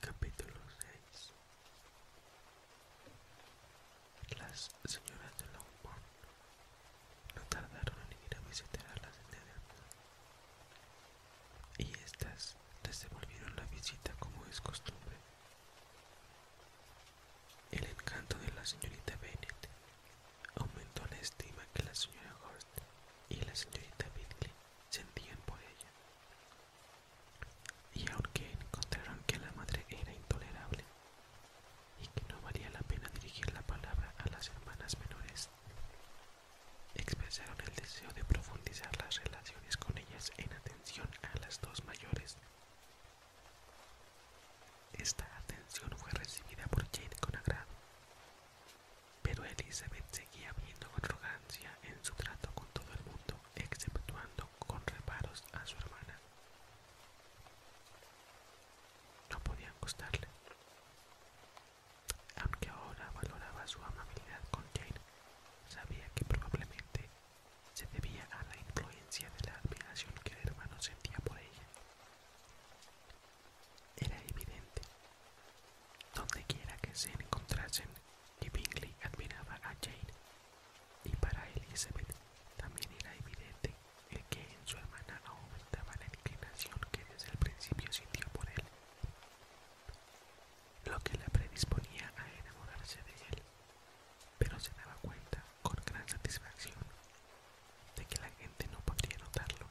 Capítulo 6 Las señoras de Longbourn no tardaron en ir a visitar a las de y estas les devolvieron la visita como es costumbre. El encanto de la señorita Bennet Aumentó la estima que la señora Horst y la señorita Beatley sentían por ella. Y aunque encontraron que la madre era intolerable y que no valía la pena dirigir la palabra a las hermanas menores, expresaron el deseo de profundizar las relaciones con ellas en atención a las dos mayores esta atención fue recibida por Jane con agrado, pero Elizabeth seguía viendo con arrogancia en su trato con todo el mundo, exceptuando con reparos a su hermana. No podían gustarle. Aunque ahora valoraba su amabilidad con Jane, sabía que probablemente se debía a la influencia de la admiración que el hermano sentía por ella. Era evidente. donde quiera que se encontrasen, que Bingley admiraba a Jane, y para Elizabeth también era evidente el que en su hermana aumentaba la inclinación que desde el principio sintió por él, lo que la predisponía a enamorarse de él, pero se daba cuenta con gran satisfacción de que la gente no podría notarlo,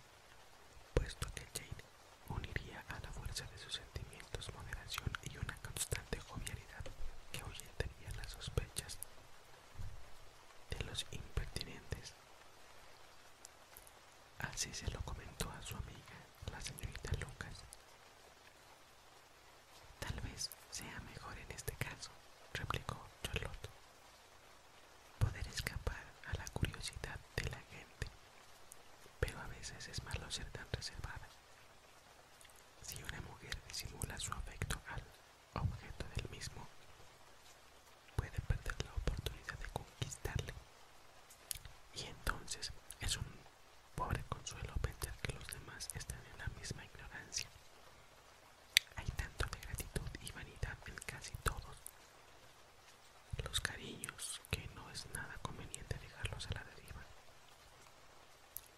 puesto que Jane uniría a la fuerza de sus sentimientos moderación y una constante jovialidad que ahuyentaría las sospechas de los impertinentes. Así se lo comentó a su amiga, la señorita Lucas. Tal vez sea mejor en este caso, replicó Charlotte poder escapar a la curiosidad de la gente, pero a veces es malo ser tan reservada. Si una mujer disimula su afecto al objeto del mismo, puede perder la oportunidad de conquistarle. Y entonces es un pobre consuelo pensar que los demás están en la misma ignorancia hay tanto de gratitud y vanidad en casi todos los cariños que no es nada conveniente dejarlos a la deriva.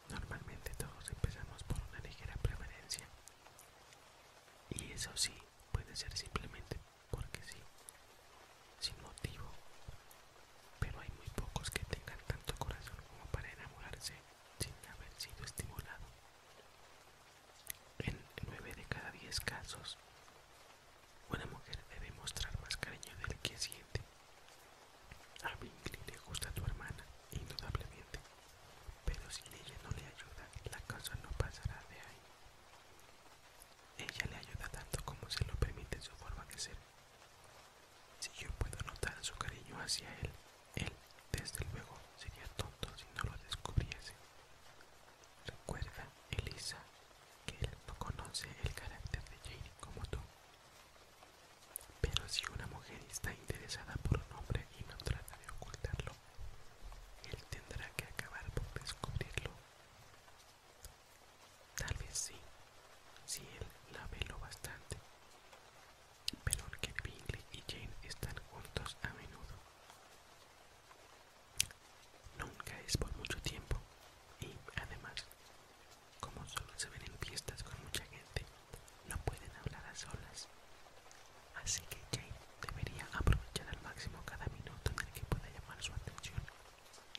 Normalmente todos empezamos por una ligera preferencia. Y eso sí, puede ser simplemente porque sí, sin motivo. Pero hay muy pocos que tengan tanto corazón como para enamorarse sin haber sido estimulado. En 9 de cada 10 casos, una mujer debe mostrar más cariño del que siente. A Bingley le gusta tu hermana, indudablemente, pero si ella no le ayuda, la cosa no pasará de ahí. Ella le ayuda tanto como se lo permite su forma de ser. Si yo puedo notar su cariño hacia él, él, desde luego, sería tonto si no lo descubriese. Recuerda, Elisa, que él no conoce el carácter de Jane como tú. Pero si una mujer está interesada por un hombre y no trata de ocultarlo, él tendrá que acabar por descubrirlo. Tal vez sí, si él la ve lo bastante pero que Bingley y Jane están juntos a menudo. Nunca es por mucho tiempo y, además, como solo se ven en fiestas con mucha gente, no pueden hablar a solas. Así que Jane debería aprovechar al máximo cada minuto en el que pueda llamar su atención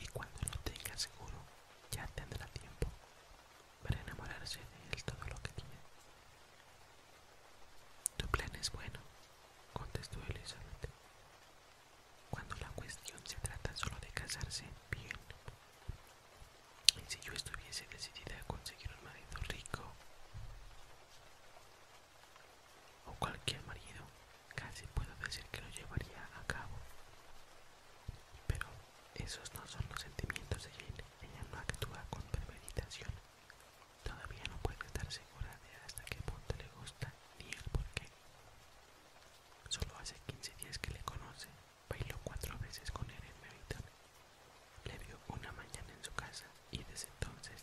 y cuando lo tenga seguro ya tendrá tiempo para enamorarse de él todo lo que tiene tu plan es bueno, contestó Elizabeth. Cuando la cuestión se trata solo de casarse, bien. Y si yo estuviese decidida a conseguir un marido rico o cualquier marido, casi puedo decir que lo llevaría a cabo. Pero esos no son los sentimientos de Jane. Ella no actúa con premeditación. Todavía no puede estar segura de hasta qué punto le gusta ni el por qué. Solo hace 15 días que le conoce, bailó cuatro veces con él en Le vio una mañana en su casa y desde entonces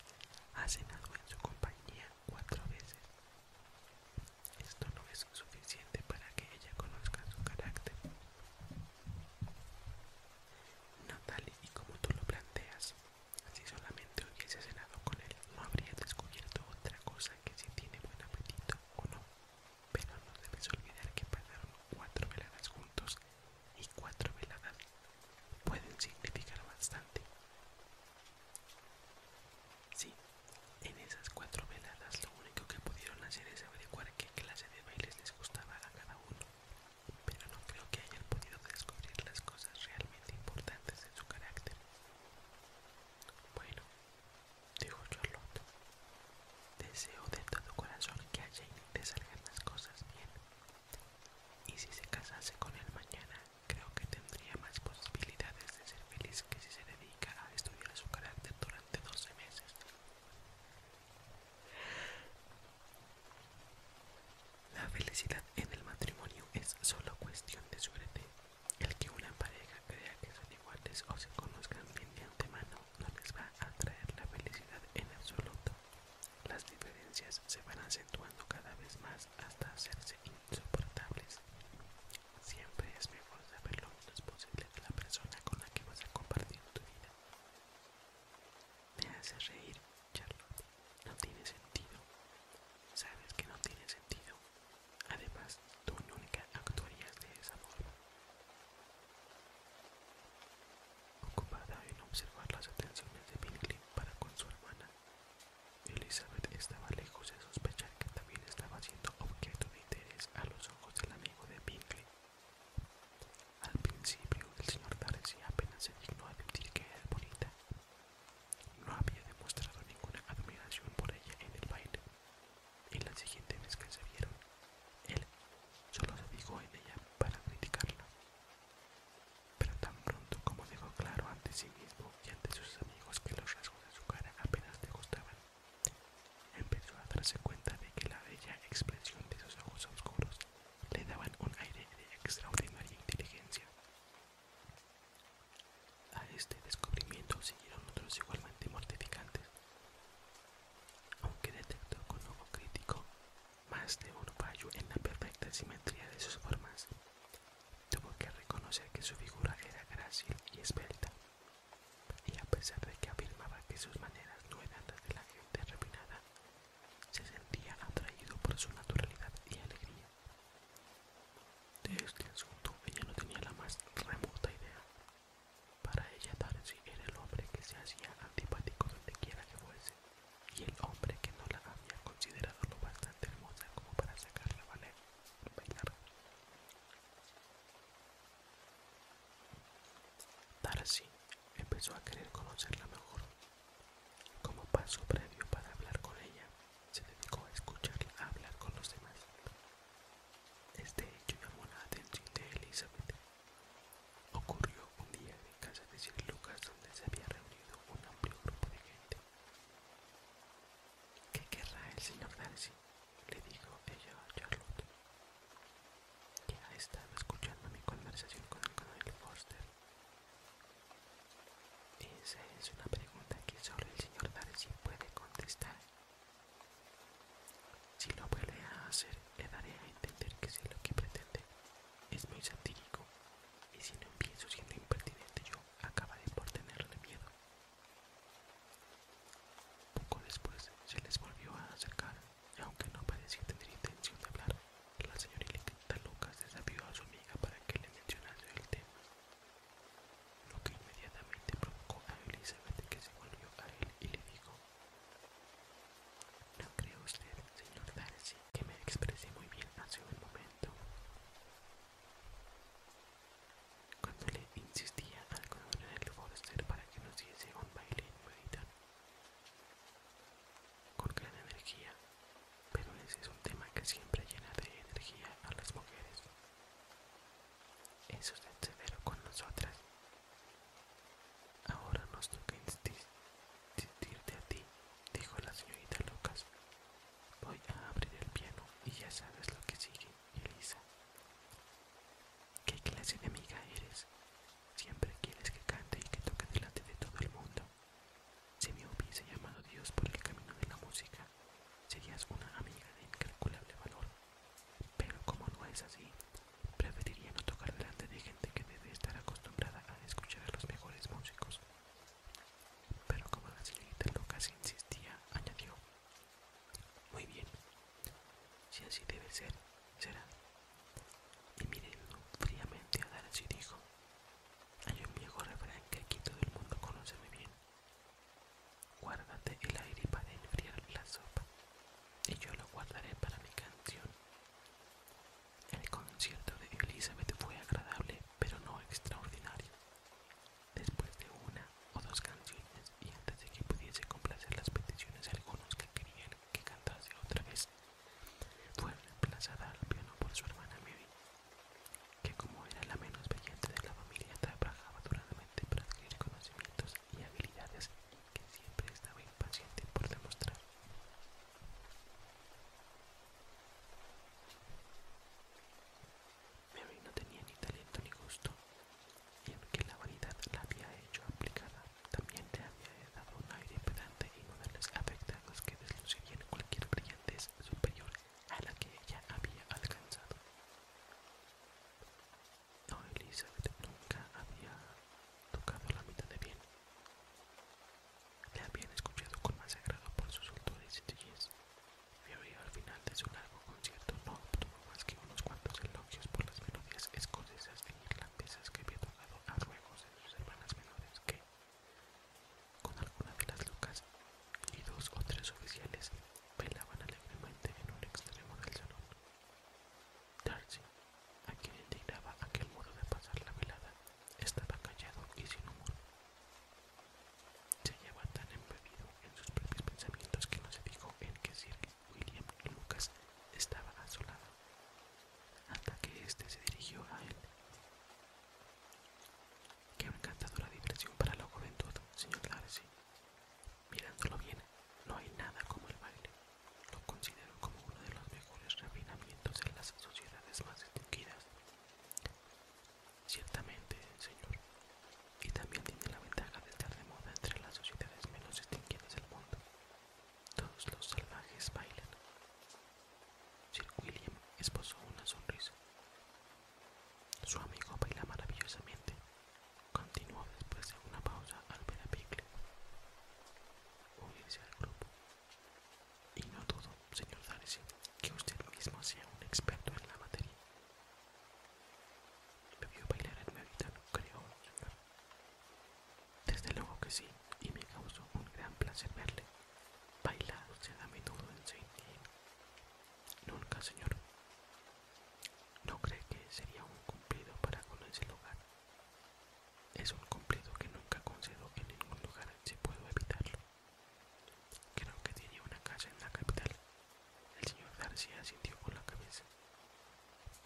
ha cenado en su compañía cuatro veces. Esto no es suficiente para que ella conozca su carácter. No y como tú lo planteas, si solamente hubiese cenado con él, no habría descubierto otra cosa que si tiene buen apetito o no. Pero no debes olvidar que pasaron cuatro veladas juntos y cuatro veladas pueden significar bastante. Sí, en esas cuatro veladas lo único que pudieron hacer es averiguar qué clase de bailes les gustaba a cada uno pero no creo que hayan podido descubrir las cosas realmente importantes en su carácter. Bueno, dijo Charlotte, deseo de todo corazón que haya Jane te salgan las cosas bien. Y si se casase con él mañana, creo que tendría más posibilidades de ser feliz que si se dedica a estudiar su carácter durante 12 meses. La felicidad en el matrimonio es solo cuestión de suerte. El que una pareja crea que son iguales o se conozcan bien de antemano no les va a traer la felicidad en absoluto. Las diferencias se van acentuando cada vez más hasta hacerse insoportables. Siempre es mejor saber lo menos posible de la persona con la que vas a compartir tu vida. Me hace reír Charlotte, no tiene sentido. Sabes que no tiene sentido. Además, tú nunca actuarías de esa forma. Ocupada en observar las atenciones de Pinkley para con su hermana, Elizabeth estaba lejos de sospechar que también estaba siendo objeto de interés a los ojos del amigo de Pinkley. Al principio el señor Darcy apenas se dignó admitir que era bonita. No había demostrado ninguna admiración por ella en el baile, y la siguiente vez que se vieron, él solo se fijó en ella para criticarla. Pero tan pronto como dejó claro ante sí mismo y ante sus amigos que los rasgos de su cara apenas le gustaban, empezó a darse cuenta de que la bella expresión de sus ojos oscuros le daban un aire de extraordinaria inteligencia. A este descubrimiento siguieron otros igualmente mortificantes. Aunque detectó con ojo crítico más de un fallo en la perfecta simetría de sus formas, tuvo que reconocer que su figura era grácil y esbelta, y a pesar de que afirmaba que sus maneras no eran las de la gente refinada, se sentía atraído por su naturalidad y alegría. De este asunto ella no tenía la más remota idea. Para ella Darcy era el hombre que se hacía antipático donde quiera que fuese, y el hombre que no la había considerado lo bastante hermosa como para sacarla a bailar. Darcy empezó a querer conocerla mejor como paso previo para hablar con ella, se dedicó a escucharla a hablar con los demás. Este hecho llamó la atención de Elizabeth. Ocurrió un día en casa de Sir Lucas donde se había reunido un amplio grupo de gente. ¿Qué querrá el señor Darcy? le dijo ella a Charlotte. Que ha estado escuchando mi conversación con el coronel Foster esa es una pregunta que solo el señor Darcy puede contestar. Si lo vuelve a hacer, le daré a entender que si lo que pretende. Es muy satírico, y si no empiezo siendo impertinente yo, acabaré por tenerle miedo. Poco después se les volvió a acercar, aunque no parecía tener intención de hablar, la señorita Lucas desafió a su amiga para que le mencionase el tema, lo que inmediatamente provocó a Elizabeth que se volvió a él y le dijo No cree usted, señor Darcy, que me expresé muy bien hace un momento. Cuando le insistía al coronel Forster para que nos diese un baile en con gran energía, pero ese es un tema que siempre llena de energía a las mujeres. Eso es severo con nosotras. Ahora nos toca insistirte a ti, dijo la señorita Lucas. Voy a abrir el piano y ya sabes lo que sigue, Elisa. ¿Qué clase de amiga eres? Siempre quieres que cante y que toque delante de todo el mundo. Si me hubiese llamado Dios por el camino de la música, serías una amiga de incalculable valor. Pero como no es así, preferiría no tocar delante de gente que debe estar acostumbrada a escuchar a los mejores músicos. Pero como la señorita Lucas insistía, añadió, muy bien, si así debe ser, será. Y mirélo fríamente a Darcy dijo, hay un viejo refrán que aquí todo el mundo conoce muy bien. Guárdate el aire para enfriar la sopa y yo lo guardaré para mi canción. El concierto de Elizabeth fue agradable, pero no extraordinario. Después de una o dos canciones y antes de que pudiese complacer las peticiones algunos que querían que cantase otra vez, fue reemplazada al piano por su hermana Mary, que como era la menos brillante de la familia trabajaba duramente para adquirir conocimientos y habilidades que siempre estaba impaciente por demostrar. Mary no tenía ni talento ni gusto, y aunque la vanidad la había hecho aplicada, también le había dado un aire pedante y las afectados que deslucirían cualquier brillantez superior a la que ella había alcanzado. No, Elizabeth nunca había tocado la mitad de bien. La habían escuchado con más agrado por sus autores y sencillez, y al final de su largo concierto no obtuvo más que unos cuantos elogios por las melodías escocesas e irlandesas que había tocado a ruegos de sus hermanas menores que, con algunas de las lucas, y dos o tres oficiales velaban alegremente en un extremo del salón. Darcy, a quien indignaba aquel modo de pasar la velada, estaba callado y sin humor. Se llevaba tan embebido en sus propios pensamientos que no se dijo en que Sir William Lucas estaba a su lado, hasta que éste se dirigió a él. Qué la diversión para la juventud, señor Darcy. Mirándolo bien, no hay nada como el baile. Lo considero como uno de los mejores refinamientos en las sociedades más distinguidas. Ciertamente, señor. Y también tiene la ventaja de estar de moda entre las sociedades menos distinguidas del mundo. Todos los salvajes bailan, Sir William esbozó una sonrisa. Su amigo baila maravillosamente, continuó después de una pausa al ver a Pickle unirse al grupo. Y no todo, señor Darcy, que usted mismo sea un experto en la materia. Me vio bailar en mi creo, señor. Desde luego que sí, y me causó un gran placer verle se se a menudo en saint Nunca, señor. ¿No cree que sería un cumplido para con ese lugar? Es un cumplido que nunca concedo en ningún lugar si puedo evitarlo. Creo que tiene una casa en la capital. El señor García sintió con la cabeza.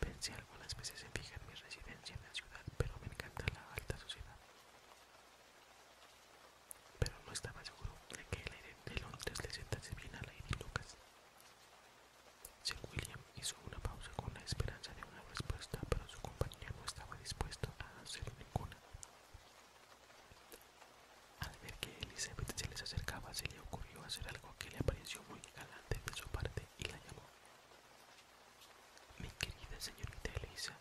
Pensé algunas veces en fijar mi residencia en la ciudad, pero me encanta la alta sociedad pero no estaba seguro de que el aire de Londres le sentase bien al Lady Lucas. Sir William hizo una pausa con la esperanza de una respuesta, pero su compañero no estaba dispuesto a hacer ninguna. Al ver que Elizabeth se les acercaba, se le ocurrió hacer algo que le pareció muy galante de su parte y la llamó. Mi querida señorita Elisa,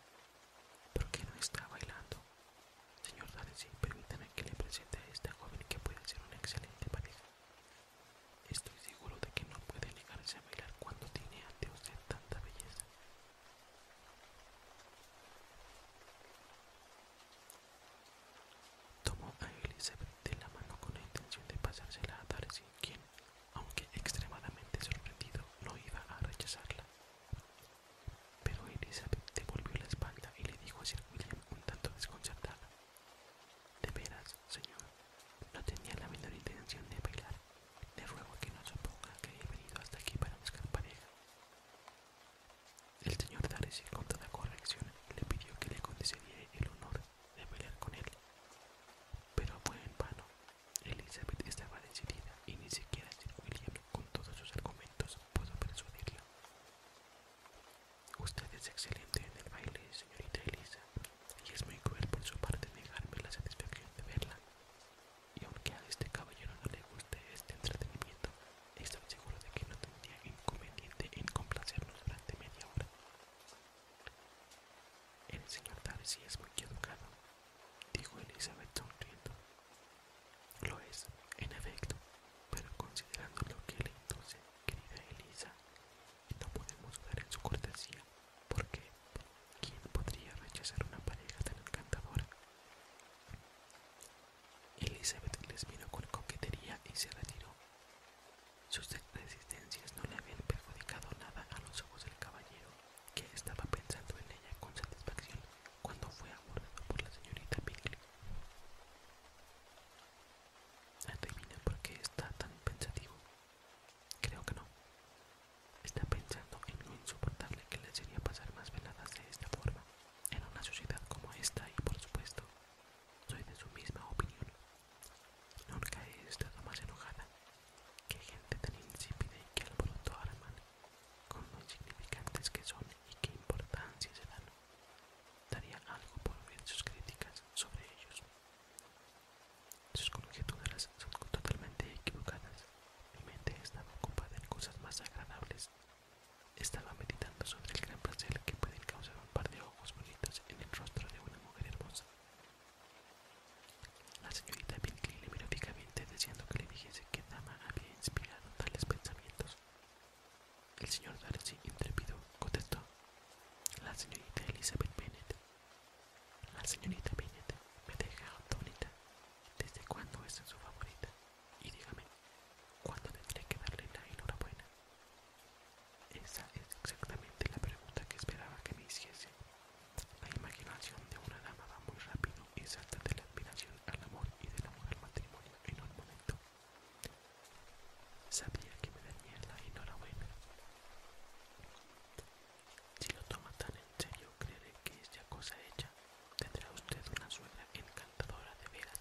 ¿por qué no está bailando? Señor Darcy, permítame que le presente a esta joven que puede ser una excelente pareja. Estoy seguro de que no puede negarse a bailar cuando tiene ante usted tanta belleza. Tomó a Elizabeth de la mano con la intención de pasársela a Darcy, quien aunque extremadamente sorprendido no iba a rechazarla. Pero Elizabeth devolvió la espalda y le dijo a Sir William un tanto desconcertada. De veras, señor, no tenía la menor intención de bailar. Le ruego que no suponga que he venido hasta aquí para buscar pareja. El señor Darcy, con toda corrección, le pidió que le concediera el honor de bailar con él. Pero fue en vano, Elizabeth estaba decidida y ni siquiera Sir William, con todos sus argumentos, pudo persuadirla. Usted es excelente en el baile, señorita Elisa, y es muy cruel por su parte negarme la satisfacción de verla. Y aunque a este caballero no le guste este entretenimiento, estoy seguro de que no tendría inconveniente en complacernos durante media hora. El señor Darcy es muy educado, dijo Elizabeth sonriendo. Lo es, en efecto, pero considerando lo que le entonces, querida Elisa, no podemos dar en su cortesía, porque ¿quién podría rechazar una pareja tan encantadora? Elizabeth les miró con coquetería y se retiró. Sus resistencias no le habían perjudicado nada a los ojos del caballero que estaba pensando en ella con satisfacción cuando fue abordado por la señorita Bingley. Adivina por qué está tan pensativo. Creo que no. Está pensando en lo insoportable que le sería pasar más veladas de esta forma, en una sociedad como esta y por supuesto, soy de su misma opinión. Nunca he estado más enojada ¡Qué gente tan insípida y que al a con lo insignificantes que son y qué importancia se dan. Daría algo por ver sus críticas sobre ellos. Sus conjeturas son totalmente equivocadas. Mi mente estaba ocupada en cosas más agradables. Estaba meditando sobre el gran placer que pueden causar un par de ojos bonitos en el rostro de una mujer hermosa. La señorita Pinkley le miró fijamente deseando que le dijese que Dama había inspirado tales pensamientos. El señor Darcy, intrépido, contestó. La señorita Elizabeth Bennet. La señorita Bennett me deja bonita. ¿Desde cuándo es su favorita? Y dígame, ¿cuándo tendré que darle la enhorabuena? Esa es exactamente la pregunta que esperaba que me hiciese, la imaginación de una dama va muy rápido y salta de la admiración al amor y de la mujer matrimonio en un momento. Sabía que me no la enhorabuena. Si lo toma tan en serio, creeré que es ya cosa hecha. Tendrá usted una suegra encantadora de veras,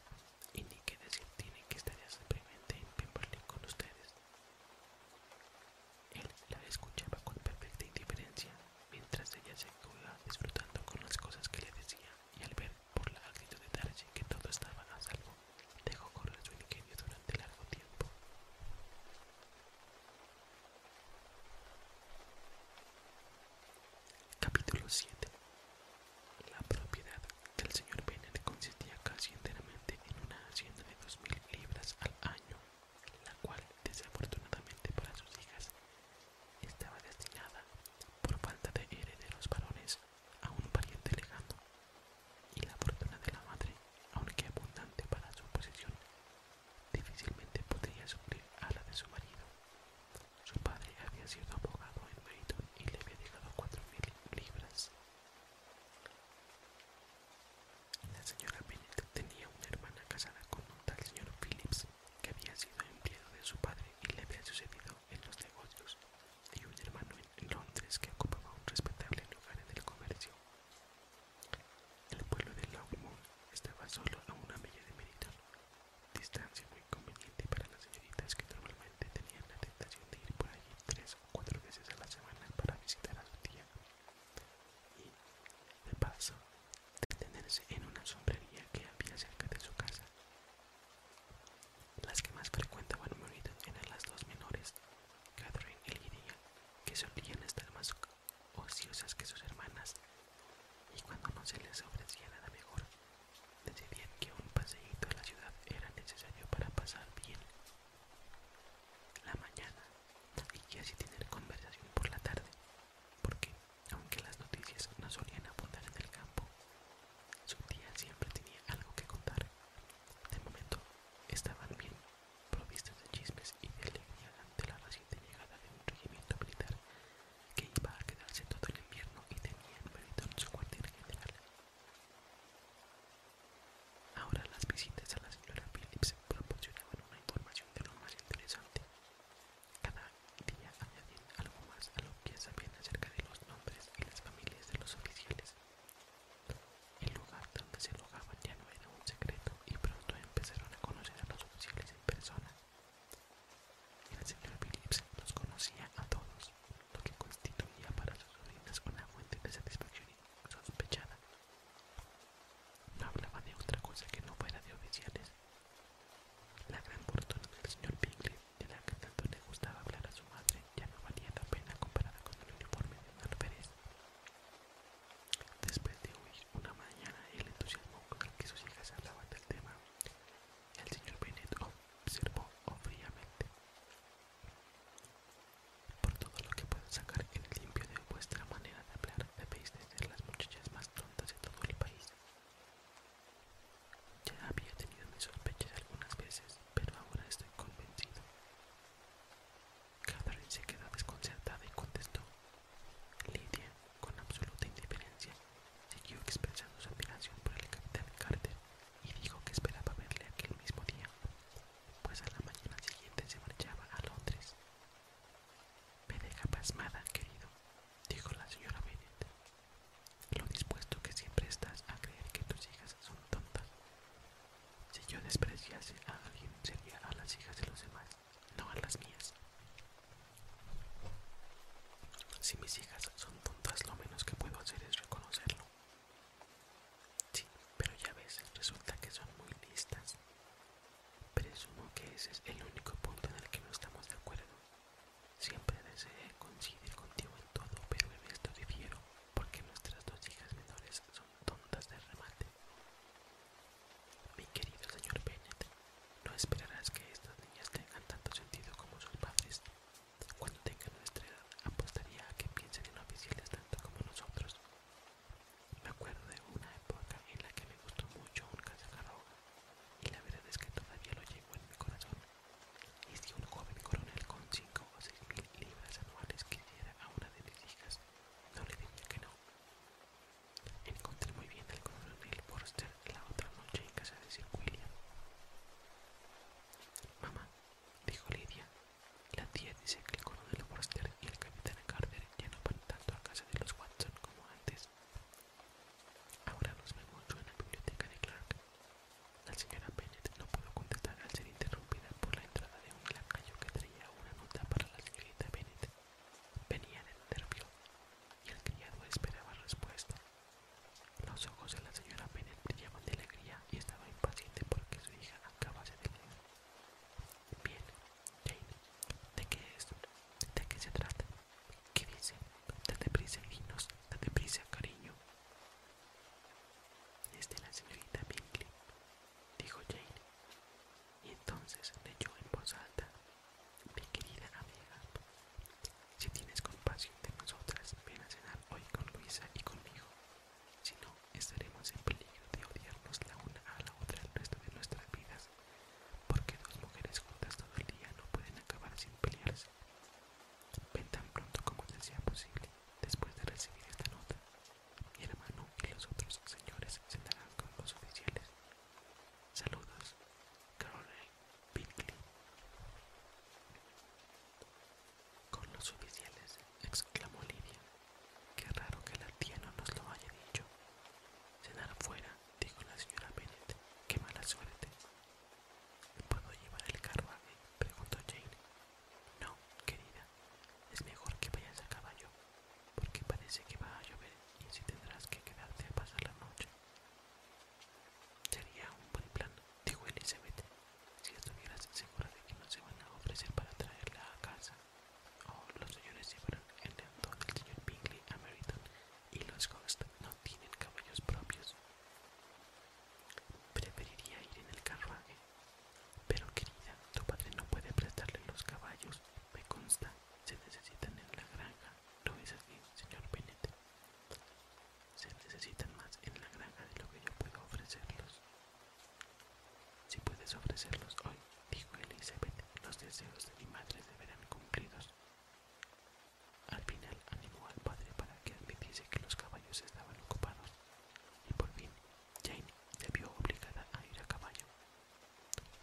y ni que decir tiene que estaría simplemente en Pemberley con ustedes. Él la escuchaba con perfecta indiferencia, mientras ella se quedaba disfrutando con las cosas que le decía, y al ver por la actitud de Darcy que todo estaba a salvo, dejó correr su ingenio durante largo tiempo. Capítulo 7 La propiedad del señor Bennet consistía casi enteramente en una hacienda de dos mil libras al año la cual desafortunadamente para sus hijas estaba destinada por falta de herederos varones a un pariente legado, y la fortuna de la madre, aunque abundante para su posición, difícilmente podría suplir a la de su marido. Su padre había sido abogado en Meriton y le había dejado cuatro mil libras. La señora Tenía una hermana casada con un tal señor Phillips, que había sido empleado de su padre y le había sucedido en los negocios, y un hermano en Londres que ocupaba un respetable lugar en el comercio. El pueblo de Longmore estaba solo a una milla de Meriton, distancia muy conveniente para las señoritas que normalmente tenían la tentación de ir por allí tres o cuatro veces a la semana para visitar a su tía y de paso detenerse en una sombrería que había cerca de su casa. Las que más frecuentaban Meriton eran las dos menores, Catherine y Lydia, que solían estar más ociosas que sus hermanas, y cuando no se les ofrecía nada mejor, decidían que un paseíto a la ciudad era necesario para pasar bien la mañana y así tener conversación por la tarde, porque aunque las noticias no solían abundar en el campo, su tía siempre tenía algo que contar. De momento, estaban bien provistas de chismes y de ante la reciente llegada de un regimiento militar que iba a quedarse todo el invierno y tenía en su cuartel general. Ahora las visitas a la señora Phillips proporcionaban una información de lo más interesante cada día añadían algo más a lo que sabían acerca de los nombres y las familias de los oficiales. El lugar donde se alojaban ya no era un secreto y pronto empezaron a conocer a los oficiales en persona. El señor Phillips los conocía a todos, lo que constituía para sus sobrinas una fuente de satisfacción sospechada. No hablaba de otra cosa que no fuera de oficiales, la gran fortuna del señor Bingley, de la que tanto le gustaba hablar a su madre, ya no valía la pena comparada con el uniforme de un alférez. Después de oír una mañana, el entusiasmo con el que sus hijas hablaban del tema, el señor Bennet observó fríamente. Por todo lo que pueden sacar en limpio de vuestra manera de hablar, debéis de las muchachas más tontas de todo el país. Ya había tenido mis sospechas algunas veces, pero ahora estoy convencido. Catherine se quedó desconcertada y contestó. Lidia con absoluta indiferencia, siguió expresando su admiración por el capitán Carter y dijo que esperaba verle aquel mismo día, pues a la mañana siguiente se marchaba a Londres. Me deja pasmada, querido, dijo la señora Bennett Lo dispuesto que siempre estás a creer que tus hijas son tontas. Si yo despreciase a alguien sería a las hijas de los demás, no a las mías. Si mis hijas son tontas, lo menos que puedo hacer es reconocerlo. Sí, pero ya ves, resulta que son muy listas. Presumo que ese es el único punto en el que no estamos de acuerdo. Siempre deseé coincidir contigo en todo, pero en esto difiero, porque nuestras dos hijas menores son tontas de remate. Mi querido señor Bennett, no esperarás que estas niñas tengan tanto sentido como sus padres. Cuando tengan nuestra edad, apostaría a que piensen en oficiales tanto como nosotros. Me acuerdo de una época en la que me gustó mucho un cazacarro y la verdad es que todavía lo llevo en mi corazón. Y si un joven coronel con 5 o seis mil libras anuales quisiera a una de mis hijas, no le diría que no. Encontré muy bien al coronel Forster la otra noche en casa de Sir William. Mamá, dijo Lidia, la tía dice que el coronel Forster y el capitán Carter ya no van tanto a casa de los Watson como antes, Ahora nos vemos en la biblioteca de Clark. La señora Bennett no pudo contestar al ser interrumpida por la entrada de un lacayo que traía una nota para la señorita Bennett. Venía del nervio y el criado esperaba respuesta. Los ojos de la señora Bennett brillaban de alegría y estaba impaciente porque su hija acabase de leer. Bien, Jane, ¿de qué es? ¿De qué se trata? ¿Qué dice? Date prisa, Inos, date prisa, cariño. Es de la señorita Bingley, dijo Jane, y entonces leyó en voz alta: Mi querida amiga, si tienes compasión de nosotras, ven a cenar hoy con Luisa y conmigo. Si no, estaremos en peligro de odiarnos la una a la otra el resto de nuestras vidas porque dos mujeres juntas todo el día no pueden acabar sin pelearse. Ven tan pronto como sea posible, después de recibir esta nota. Mi hermano y los otros señores cenarán con los oficiales. Saludos, Caroline Pinkley. Con los oficiales, exclamó Lidia. Qué raro que la tía no nos lo haya dicho. Cenar fuera dijo la señora Bennett, ¡Qué mala suerte! ¿Puedo llevar el carruaje? preguntó Jane. No, querida, es mejor que vayas a caballo, porque parece que va a llover y así tendrás que quedarte a pasar la noche. Sería un buen plan, dijo Elizabeth, si estuvieras segura de que no se van a ofrecer para traerla a casa. Oh, los señores llevaron el león del señor Bingley a Meriton y los Ghost no tienen caballos propios. Preferiría ir en el carruaje, pero querida, tu padre no puede prestarle los caballos, me consta, se necesitan en la granja, Lo ves así, señor Bennet? Se necesitan más en la granja de lo que yo puedo ofrecerlos. Si puedes ofrecerlos hoy, dijo Elizabeth, los deseos de mi madre se verán cumplidos. Al final animó al padre para que admitiese que los caballos estaban ocupados, y por fin Jane se vio obligada a ir a caballo.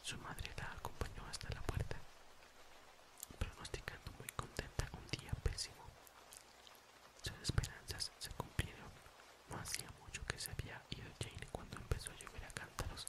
Su madre la acompañó hasta la puerta, pronosticando muy contenta un día pésimo. Sus esperanzas se cumplieron. No hacía mucho que se había ido Jane cuando empezó a llover a cántaros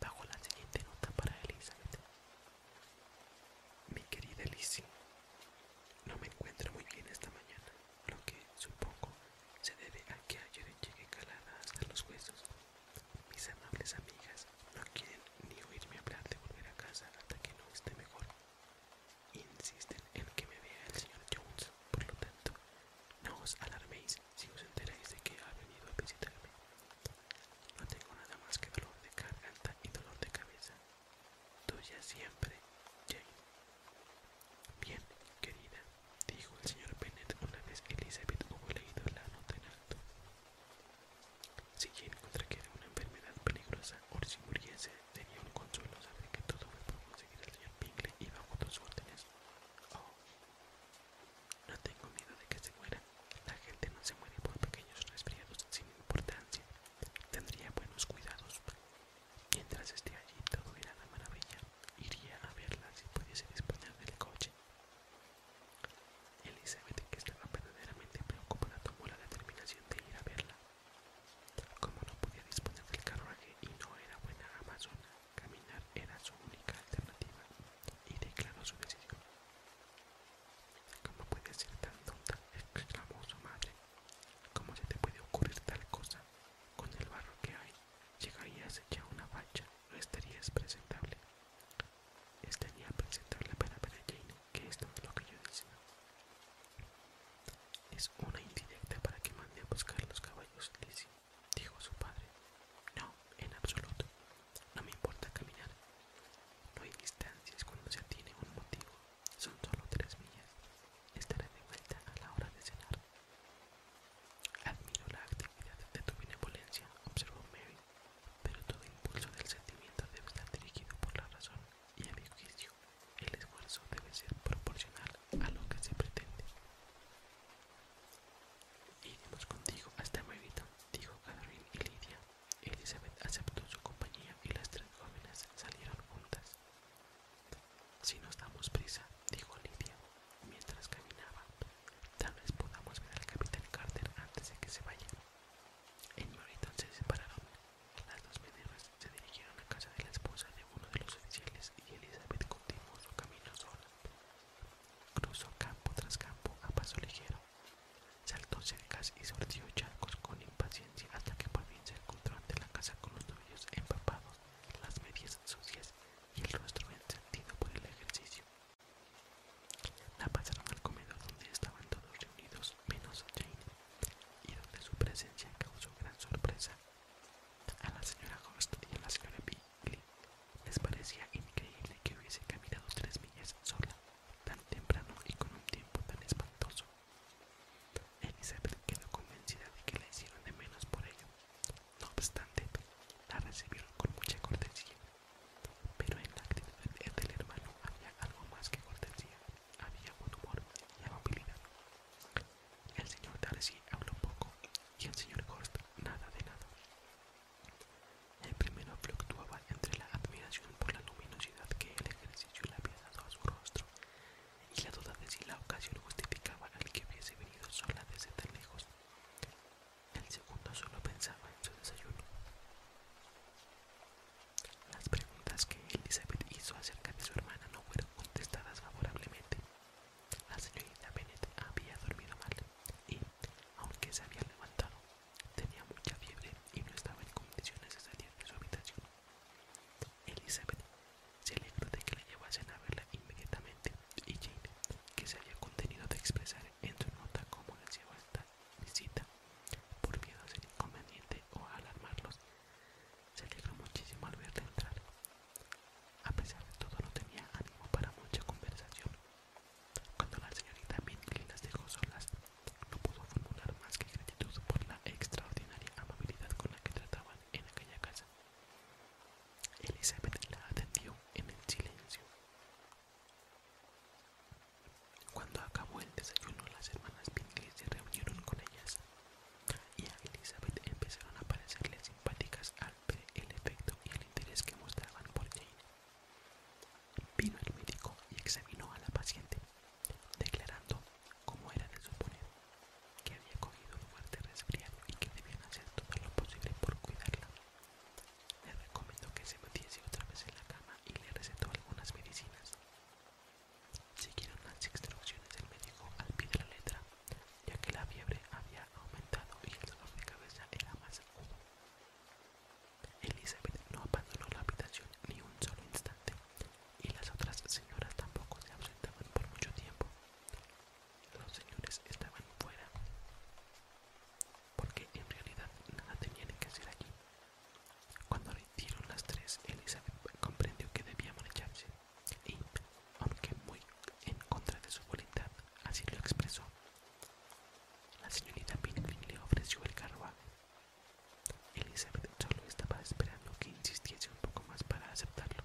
bajo la siguiente nota para Elizabeth. Mi querida Lizzie, no me encuentro muy bien esta mañana, lo que supongo se debe a que ayer llegué calada hasta los huesos. Mis amables amigas no quieren ni oírme hablar de volver a casa hasta que no esté mejor. Insisten en que me vea el señor Jones, por lo tanto, no os alarméis si os enteráis de que ha venido a visitarme. No tengo nada más que dolor de garganta y dolor de cabeza. Tuya siempre, Jane. Bien, querida, dijo el señor Bennet una vez Elizabeth hubo leído la nota en alto. Si que era una enfermedad peligrosa o si muriese, tenía un consuelo saber que todo fue por conseguir al señor Bingley y bajo tus órdenes. Oh, no tengo miedo de que se muera. La gente no se muere por pequeños resfriados sin importancia. Tendría buenos cuidados. Mientras esté allí todo irá a la maravilla. Iría a verla si pudiese disponer del coche. Elizabeth, que estaba verdaderamente preocupada, tomó la determinación de ir a verla. Como no podía disponer del carruaje y no era buena amazona, Caminar era su única alternativa y declaró su decisión. ¿Cómo puedes ser tan tonta? exclamó su madre. ¿Cómo se te puede ocurrir tal cosa? Con el barro que hay, llegarías ya una facha, no estarías presentable. Estaría presentable para ver Jane, que esto es lo que yo decía. Es una indirecta para que mande a buscar los caballos, dice dijo su padre. No, en absoluto. No me importa caminar. No hay distancias cuando se tiene un motivo. Son solo tres millas. Estaré de vuelta a la hora de cenar. Admiro la actividad de tu benevolencia, observó Mary, pero todo impulso del sentimiento debe estar dirigido por la razón y a mi juicio el esfuerzo debe ser proporcional a lo que se pretende. Iremos contigo hasta Murito, dijo Catherine y Lidia. Elizabeth aceptó su compañía y las tres jóvenes salieron juntas. Si nos damos prisa, dijo Lidia, mientras caminaba, tal vez podamos ver al capitán Carter antes de que se vaya. En Meriton se separaron. Las dos meneras se dirigieron a casa de la esposa de uno de los oficiales y Elizabeth continuó su camino sola. Cruzó campo tras campo a paso ligero. Saltó cercas y sortió charcos con impaciencia hasta que por fin se encontró ante la casa con los tobillos empapados, las medias sucias y el rostro encendido por el ejercicio. La pasaron al comedor donde estaban todos reunidos menos Jane y donde su presencia causó gran sorpresa. A la señora Horst y a la señora B les parecía increíble que hubiese caminado tres millas sola, tan temprano y con un tiempo tan espantoso. Elizabeth quedó convencida de que la hicieron de menos por ello. No obstante, la recibieron con mucha cortesía, pero en la actitud del hermano había algo más que cortesía, había buen humor y amabilidad. El señor Darcy habló poco y el señor Costa nada de nada. El primero fluctuaba entre la admiración por la luminosidad que el ejercicio le había dado a su rostro y la duda de si la ocasión justificaba al que hubiese venido sola desde tan lejos. El segundo solo pensaba en su desayuno. Las preguntas que Elizabeth hizo acerca de su hermana no fueron contestadas favorablemente. La señorita Bennett había dormido mal y aunque se había levantado, tenía mucha fiebre y no estaba en condiciones de salir de su habitación. Elizabeth se alegró de que le llevasen a verla inmediatamente y Jane, que se había contenido de expresar en su nota cómo le hacía esta visita, por miedo a ser inconveniente o alarmarlos, se alegró muchísimo al verla entrar. A pesar de todo no tenía ánimo para mucha conversación cuando la señorita Minkley las dejó solas, no pudo formular más que gratitud por la extraordinaria amabilidad con la que trataban en aquella casa. Elizabeth la atendió en el silencio. Cuando acabó el desayuno, las hermanas se reunieron con ellas y a Elizabeth empezaron a parecerle simpáticas a el efecto y el interés que mostraban por Jane. Vino el médico y examinó a la paciente, declarando, como era de suponer, que había cogido un fuerte resfriado y que debían hacer todo lo posible por cuidarla. Le recomendó que se metiese otra vez en la cama y le recetó algunas medicinas. Siguieron las instrucciones del médico al pie de la letra, ya que la fiebre había aumentado y el dolor de cabeza era más agudo. Elizabeth no abandonó la habitación ni un solo instante, y las otras señoras tampoco se ausentaban por mucho tiempo. Los señores estaban fuera, porque en realidad nada tenían que hacer allí. Cuando lo hicieron las tres, Elizabeth comprendió que debía marcharse, y, aunque muy en contra de su voluntad, así lo expresó, la señorita Pinkley le ofreció el carruaje. Elizabeth solo estaba esperando que insistiese un poco más para aceptarlo,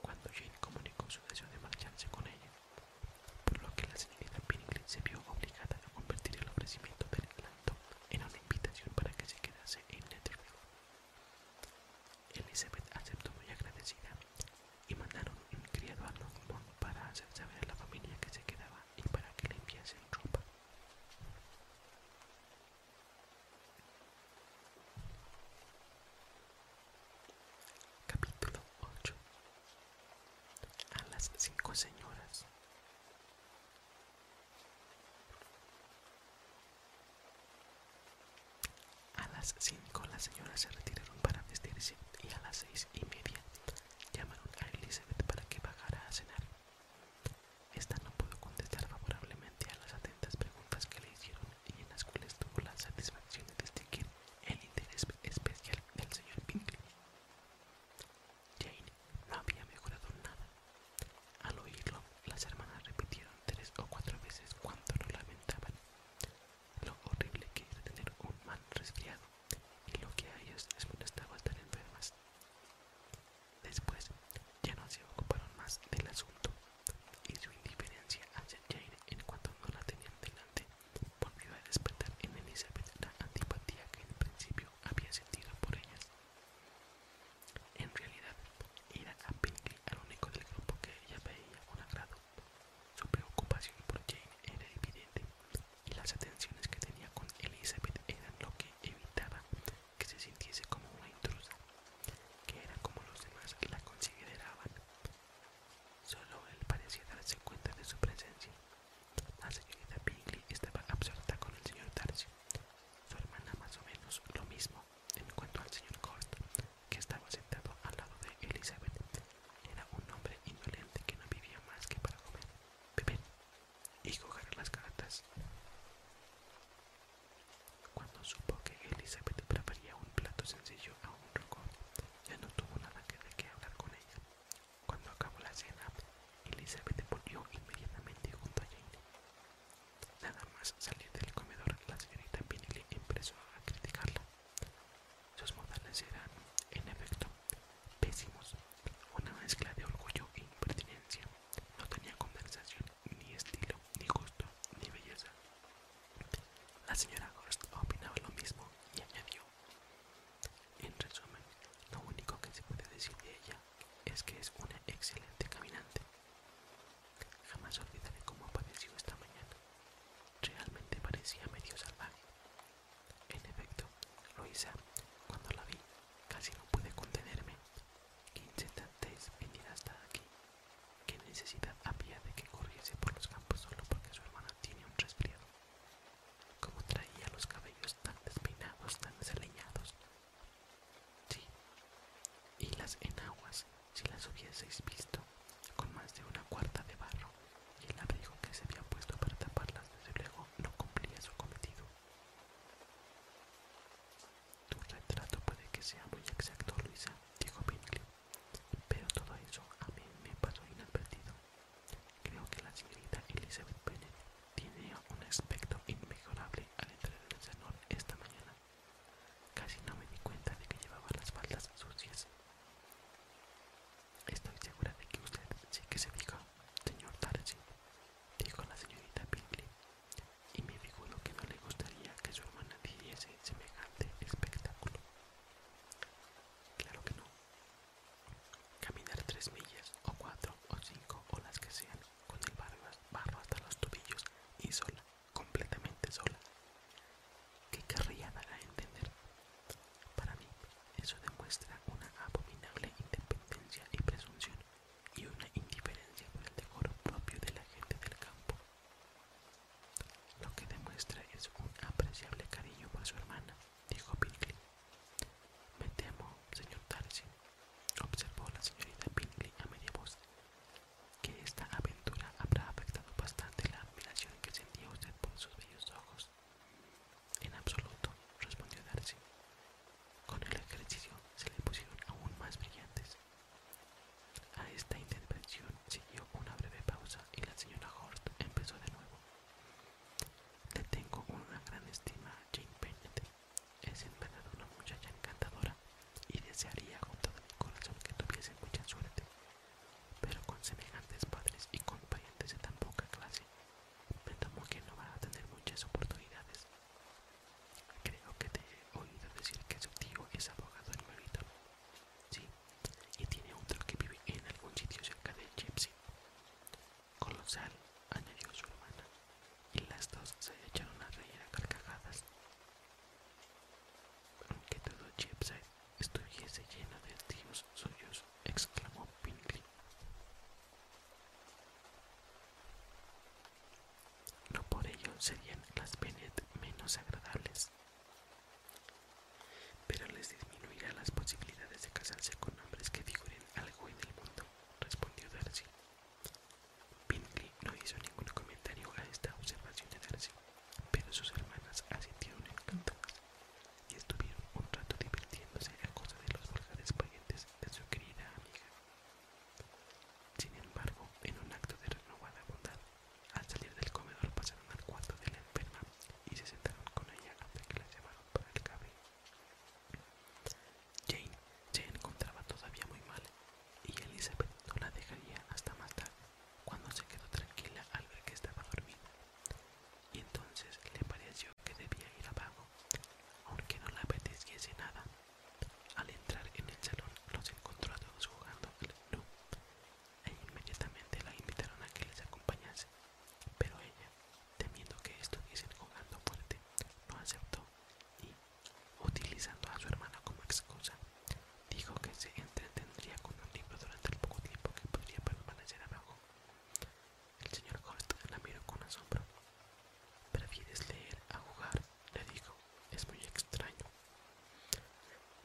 cuando Jane comunicó su deseo de marcharse con ella, por lo que la señorita Pinkley se vio obligada a convertir el ofrecimiento del Landon en una invitación para que se quedase en Netherfield. Elizabeth aceptó muy agradecida y mandaron un criado a Longmont para hacer saber a la familia que se quedaba y para que le enviasen ropa. Capítulo 8 A las cinco señoras a las con la señora se retiraron para vestirse y a las seis y media llamaron a Elizabeth para que bajara a cenar. Esta no pudo contestar favorablemente a las atentas preguntas que le hicieron y en las cuales tuvo la satisfacción de distinguir el interés especial del señor Pinkley. Jane no había mejorado nada. Al oírlo, las hermanas repitieron tres o cuatro veces cuánto lo lamentaban, lo horrible que era tener un mal resfriado y lo que a ellos les molestaba estar enfermas. Después ya no se ocuparon más del asunto y su indiferencia hacia Jane en cuanto no la tenían delante volvió a despertar en Elizabeth la antipatía que en principio había sentido por ellas. En realidad, era a Pinkley al único del grupo que ella veía un agrado su preocupación por Jane era evidente y las atenciones que tenía con Elizabeth eran lo que evitaba que se sintiese como una intrusa, que era como los demás la consideraban. Solo él parecía darse cuenta de su presencia. La señorita Bingley estaba absorta con el señor Darcy, su hermana más o menos lo mismo en cuanto al señor Court, que estaba sentado al lado de Elizabeth era un hombre indolente que no vivía más que para comer, beber y coger las cartas. Cuando supo que Elizabeth prepararía un plato sencillo a un rocón, ya no tuvo nada que de qué hablar con ella. Cuando acabó la cena, Elizabeth volvió inmediatamente junto a Jane. Nada más salir del comedor, la señorita Pinelli empezó a criticarla. Sus modales eran, en efecto, pésimos, una mezcla de orgullo e impertinencia. No tenía conversación, ni estilo, ni gusto, ni belleza. La señora Gorst opinaba lo mismo y añadió: En resumen, lo único que se puede decir de ella es que es una excelente caminante. Jamás olvidaré cómo apareció esta mañana. Realmente parecía medio salvaje, en efecto, Luisa, cuando la vi, casi no pude contenerme. ¿Qué es venir hasta aquí? ¿Qué necesidad había de que corriese por los campos solo porque su hermana tiene un resfriado? Como traía los cabellos tan despeinados, tan desaliñados. Sí. Y las enaguas, si las hubieseis visto, con más de una cuarta de barro, y el abrigo que se había puesto para taparlas desde luego no cumplía su cometido. Tu retrato puede que sea muy exacto, Luisa, dijo Pinkley, pero todo eso a mí me pasó inadvertido. Creo que la señorita Elizabeth Bennet tenía un aspecto inmejorable al entrar en el cenón esta mañana. Casi no me di cuenta de que llevaba las faldas sucias. Estoy segura de que usted sí que se fijó, señor Darcy, dijo la señorita Pinkley. y me figuro que no le gustaría que su hermana en semejante espectáculo. Claro que no. Caminar tres millas, o cuatro, o cinco, o las que sean, con el barro, barro hasta los tobillos y sola, completamente sola. ¿Qué querría dar a entender? Para mí, eso demuestra una abominable independencia y presunción y una indiferencia por el decoro propio de la gente del campo. Lo que demuestra es un apreciable cariño para su hermana, dijo Pinkley. Me temo, señor Darcy, observó la señorita Pinkley a media voz, que esta aventura habrá afectado bastante la admiración que sentía usted por sus bellos ojos. En absoluto, respondió Darcy. Con el ejercicio se le pusieron aún más brillantes. A esta intervención siguió una breve pausa y la señora Hort empezó de nuevo. Le tengo una gran estima a Jane Penny. Es en verdad una muchacha encantadora y desearía con todo mi corazón que tuviese mucha suerte pero con semejantes padres y con de tan poca clase, me temo que no van a tener muchas oportunidades. Creo que te he oído decir que su tío es abogado en Sí, y tiene otro que vive en algún sitio cerca de Gypsy. Colosal, añadió su hermana, y las dos se echaron a reír a carcajadas. Aunque todo Gypsy estuviese llena de tíos suyos, exclamó Bingley. No por ello serían las Bennet menos agradables, pero les disminuirá las posibilidades de casarse con hombres que figuren algo en el mundo, respondió Darcy. Bingley no hizo ningún comentario a esta observación de Darcy, pero sus hermanas asintieron encantadas y estuvieron un rato divirtiéndose a costa de los vulgares parientes de su querida amiga. Sin embargo, en un acto de renovada bondad, al salir del comedor pasaron al cuarto de la enferma y se sentaron con ella hasta que la llevaron para el cabello Jane se encontraba todavía muy mal y Elizabeth no la dejaría hasta más cuando se quedó tranquila al ver que estaba dormida y entonces le pareció que debía ir a abajo, aunque no le apeteciese nada. Al entrar en el salón los encontró a todos jugando al club, e inmediatamente la invitaron a que les acompañase, pero ella, temiendo que estuviesen jugando fuerte, no aceptó y, utilizando a su hermana como excusa, dijo que se entretendría con un libro durante el poco tiempo que podría permanecer abajo. El señor Costa la miró con asombro. ¿Prefieres leer a jugar? le dijo. Es muy extraño.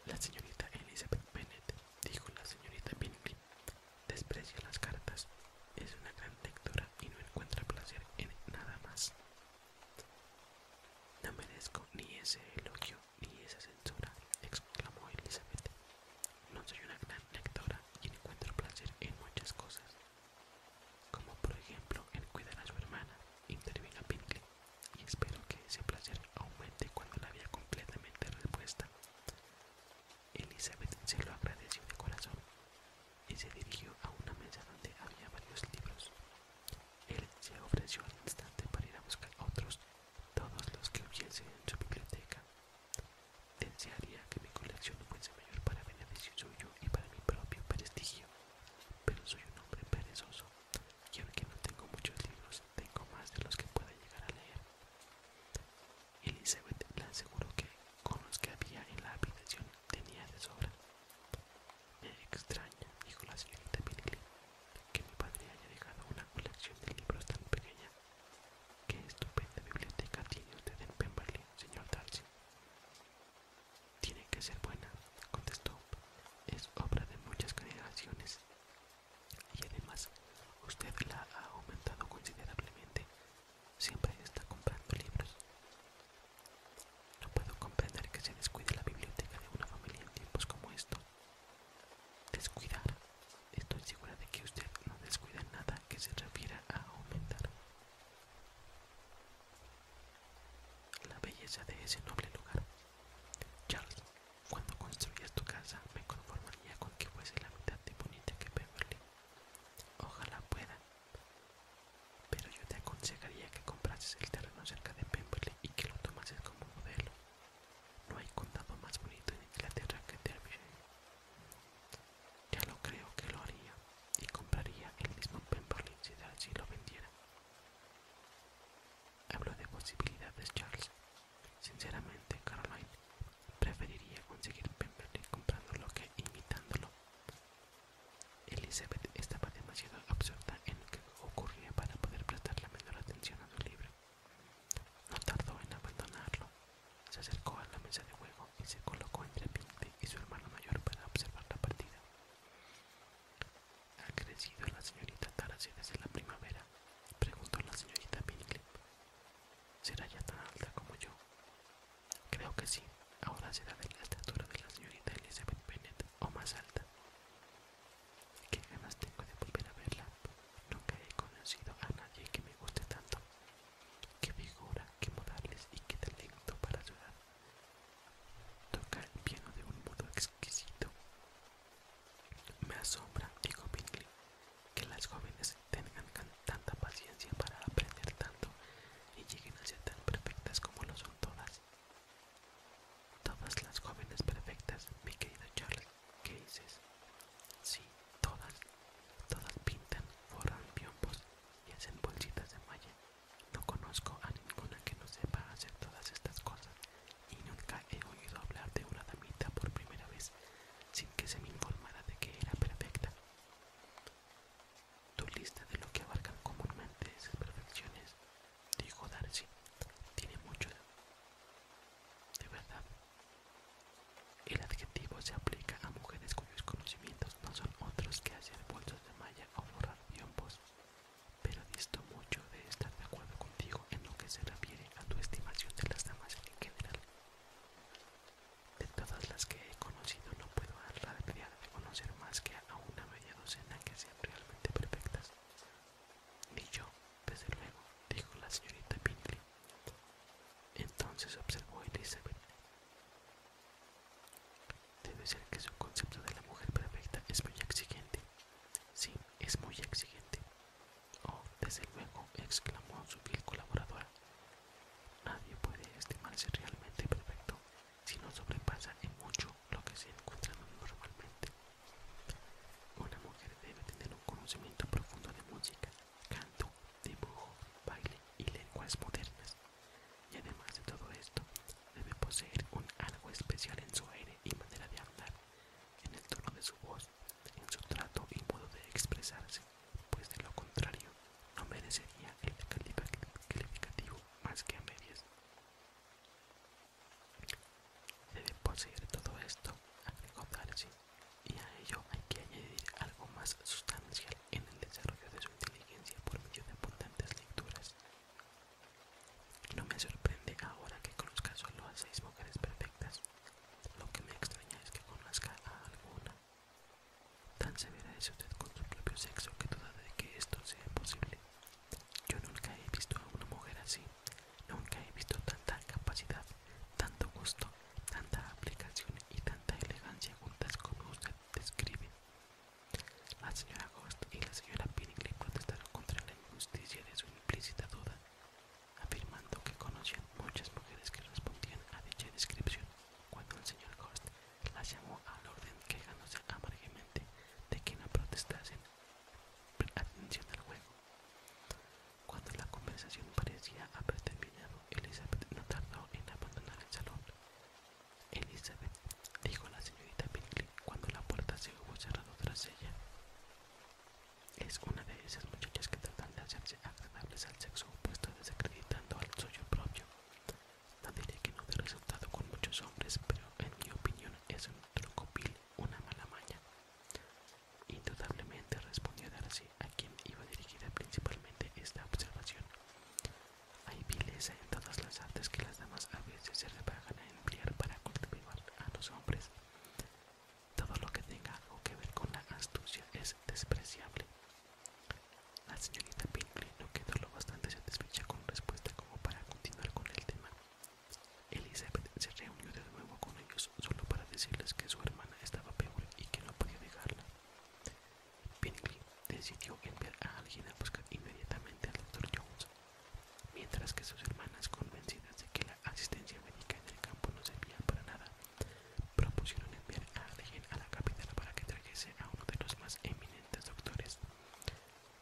La señorita Elizabeth Bennett dijo la señorita Bingley, desprecia las cartas. Es una gran lectora y no encuentra placer en nada más. No merezco ni ese elogio ni esa censura, exclamó Elizabeth. No soy una gran lectora y encuentro placer en muchas cosas, como por ejemplo en cuidar a su hermana, intervino Pinkley, y espero que ese placer aumente cuando la vea completamente respuesta Elizabeth se lo agradeció de corazón y se dirigió a una mesa donde había varios libros. Él se ofreció al instante para ir a buscar otros, todos los que hubiese en su biblioteca. Desearía que mi colección fuese mayor para beneficio suyo y para mi propio prestigio, pero soy un hombre perezoso y que no tengo muchos libros, tengo más de los que pueda llegar a leer. Elizabeth le aseguró que con los que había en la habitación tenía de sobra. Me extraña, dijo la señorita Pilgrim— que mi padre haya dejado una colección de libros tan pequeña Qué estupenda biblioteca tiene usted en Pemberley, señor Darcy. Tiene que ser buena, contestó. Es obra de muchas generaciones. Y además, usted la ha aumentado considerablemente. Siempre está comprando libros. No puedo comprender que se descuide la biblioteca de una familia en tiempos como estos. Descuidar, Estoy segura de que usted no descuida nada que se refiera a aumentar la belleza de ese noble lugar. Charles, cuando construyas tu casa me conformaría con que fuese la mitad de bonita que Pemberley. Ojalá pueda. Pero yo te aconsejaría que comprases el terreno cerca de Pemberley y que lo tomases como modelo. No hay condado más bonito en Inglaterra que Derbyshire. Ya lo creo que lo haría y compraría el mismo Pemberley si Darcy lo vendiera. Hablo de posibilidades, Charles. Sinceramente, Caroline, preferiría conseguir Pemberley comprándolo que imitándolo. Elizabeth estaba demasiado absorta en lo que ocurría para poder prestar la menor atención a su libro. No tardó en abandonarlo. Se acercó a la mesa de juego y se colocó entre Pinky y su hermano mayor para observar la partida. ¿Ha crecido la señorita tarasí desde la primavera? Preguntó la señorita Pinkley. ¿Será ya tan alta como yo? Creo que sí. Ahora será de la estatura de la señorita Elizabeth Bennet o más alta. ¿Qué ganas tengo de volver a verla? Nunca he conocido a nadie que me guste tanto, Qué figura, qué modales y qué talento para ayudar. Toca el piano de un modo exquisito. Me asombra, dijo Bingley, que las jóvenes tengan tanta paciencia para aprender tanto y lleguen a ser tan perfectas como lo son todas. Todas las jóvenes perfectas, mi querido Charlie. ¿Qué dices? Sí, todas. Todas pintan, forran piombos y hacen bolsitas de malla. No conozco a ninguna que no sepa hacer todas estas cosas y nunca he oído hablar de una damita por primera vez sin que se me informara de que era perfecta. Tu lista de lo que abarcan comúnmente esas perfecciones, dijo Darcy, tiene mucho. De verdad, el adjetivo se aplica a mujeres cuyos conocimientos no son otros que hacer bolsos de malla o forrar hombros pero disto mucho de estar de acuerdo contigo en lo que se refiere a tu estimación de las damas en general. De todas las que he conocido no puedo dar la de conocer más que a una media docena que sean realmente perfectas. Ni yo, desde luego, dijo la señorita Pinkley. Entonces observó Elizabeth. Debe ser que su concepto de la mujer perfecta es muy exigente. Sí, es muy exigente. Oh, desde luego, exclamó su fiel colaboradora. Nadie puede estimarse realmente perfecto si no sobrepasa en mucho lo que se encuentra normalmente. Una mujer debe tener un conocimiento profundo de música, canto, dibujo, baile y lenguas modernas. Y además de todo esto, debe poseer un algo especial en su aire y manera de hablar, en el tono de su voz, en su trato y modo de expresarse, pues de lo contrario, no merecería el calificativo más que a medias. Debe poseer todo esto, a Darcy, y a ello hay que añadir algo más sustancial en el desarrollo de su inteligencia por medio de abundantes lecturas. No me sorprende ahora que conozca solo a seis mujeres perfectas. Lo que me extraña es que conozca a alguna. Tan severa es usted con su propio sexo que duda de que esto sea posible. Yo nunca he visto a una mujer así. Nunca he visto tanta capacidad tanto gusto, tanta aplicación y tanta elegancia juntas como usted describe. La señora Ghost y la señora Pinnick protestaron contra la injusticia de su implícita duda, afirmando que conocían muchas mujeres que respondían a dicha descripción, cuando el señor Ghost las llamó al orden quejándose amargamente de que no protestasen. Atención al juego. Cuando la conversación parecía haber terminado, Elizabeth no tardó en abandonar el salón. Elizabeth, dijo la señorita Pinkley cuando la puerta se hubo cerrado tras ella. Es una de esas muchachas que tratan de hacerse agradables al sexo opuesto desacreditando al suyo propio. No diré que no dé resultado con muchos hombres, pero en mi opinión es un truco una mala maña. Indudablemente respondió Darcy, a quien iba dirigida principalmente esta observación. Hay vileza en todas las artes que las damas a veces se repagan a emplear para cultivar a los hombres. Todo lo que tenga algo que ver con la astucia es despreciable. La señorita Pinkley no quedó lo bastante satisfecha con respuesta como para continuar con el tema. Elizabeth se reunió de nuevo con ellos solo para decirles que su hermana estaba peor y que no podía dejarla. Pinkley decidió enviar a alguien a buscar inmediatamente al doctor Jones, mientras que sus hermanas, convencidas de que la asistencia médica en el campo no servía para nada, propusieron enviar a alguien a la capital para que trajese a uno de los más eminentes doctores.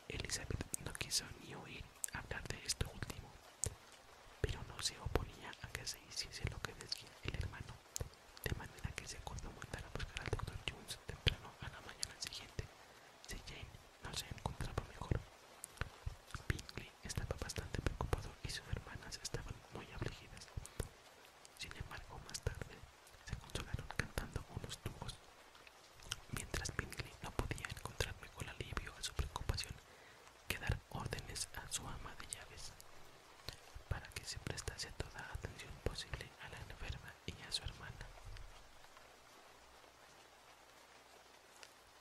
Elizabeth no quiso ni oír hablar de esto último, pero no se oponía a que se hiciese lo que decía el hermano de manera que se acordó mandar a buscar al Dr. Jones temprano a la mañana siguiente si Jane no se encontraba mejor. Bingley estaba bastante preocupado y sus hermanas estaban muy afligidas. Sin embargo, más tarde se consolaron cantando unos tubos. Mientras Bingley no podía encontrar mejor alivio a su preocupación, que dar órdenes a su ama de llaves para que se prestase toda atención posible a la enferma y a su hermana.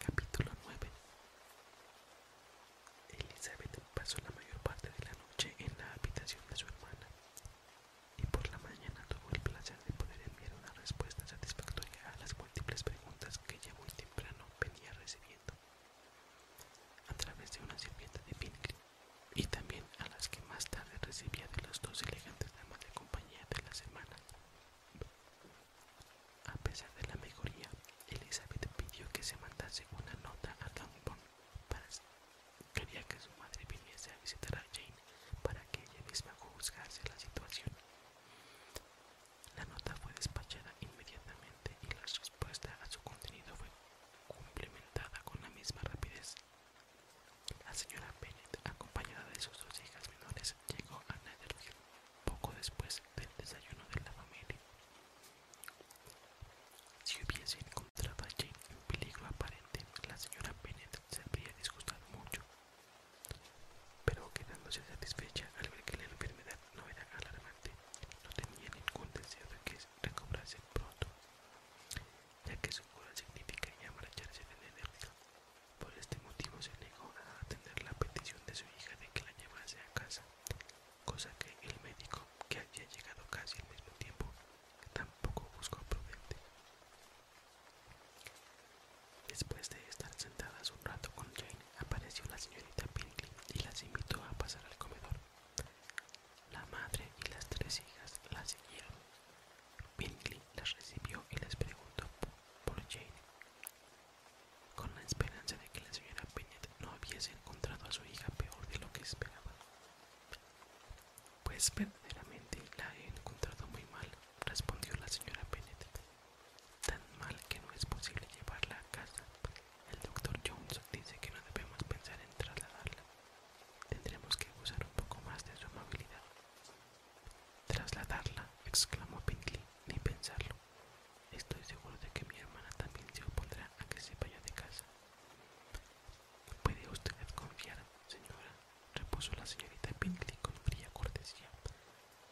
Capítulo 9 Elizabeth pasó la mayor parte de la noche en la habitación de su hermana y por la mañana tuvo el placer de poder enviar una respuesta satisfactoria a las múltiples preguntas que ella muy temprano venía recibiendo a través de una sirvienta de Pinkley y también a las que más tarde recibía de los dos elegantes damas de compañía de la semana A pesar de la mejoría, Elizabeth pidió que se mandase una nota a Longbourn para quería que su madre viniese a visitar a Jane para que ella misma juzgase la situación. La nota fue despachada inmediatamente y la respuesta a su contenido fue complementada con la misma rapidez. La señora Bennet, acompañada de sus dos hijas menores, llegó a Netherfield poco después del desayuno de la familia. Si hubiese encontrado a Jane en peligro aparente, la señora Bennet se habría disgustado mucho, pero quedándose satisfecha al ver que la enfermedad no era alarmante, no tenía ningún deseo de que recobrarse pronto, ya que su cura significa ya marcharse de energía. Por este motivo se negó a atender la petición de su hija de que la llevase a casa, cosa que el médico, que había llegado casi al mismo tiempo, tampoco buscó prudente. Después de estar sentadas un rato con Jane, apareció la señorita Pinkley y las invitó a pasar al comedor. La madre y las tres hijas la siguieron. Bingley las recibió y les preguntó por Jane, con la esperanza de que la señora Bennet no hubiese encontrado a su hija peor de lo que esperaba. Pues verdaderamente la he encontrado muy mal, respondió la señora Bennet, tan mal que no es posible llevarla a casa el doctor Jones dice que no debemos pensar en trasladarla. Tendremos que usar un poco más de su amabilidad. Trasladarla, exclamó Pinkley, ni pensarlo. Estoy seguro de que mi hermana también se opondrá a que se vaya de casa. Puede usted confiar, señora, repuso la señorita Pinkley con fría cortesía,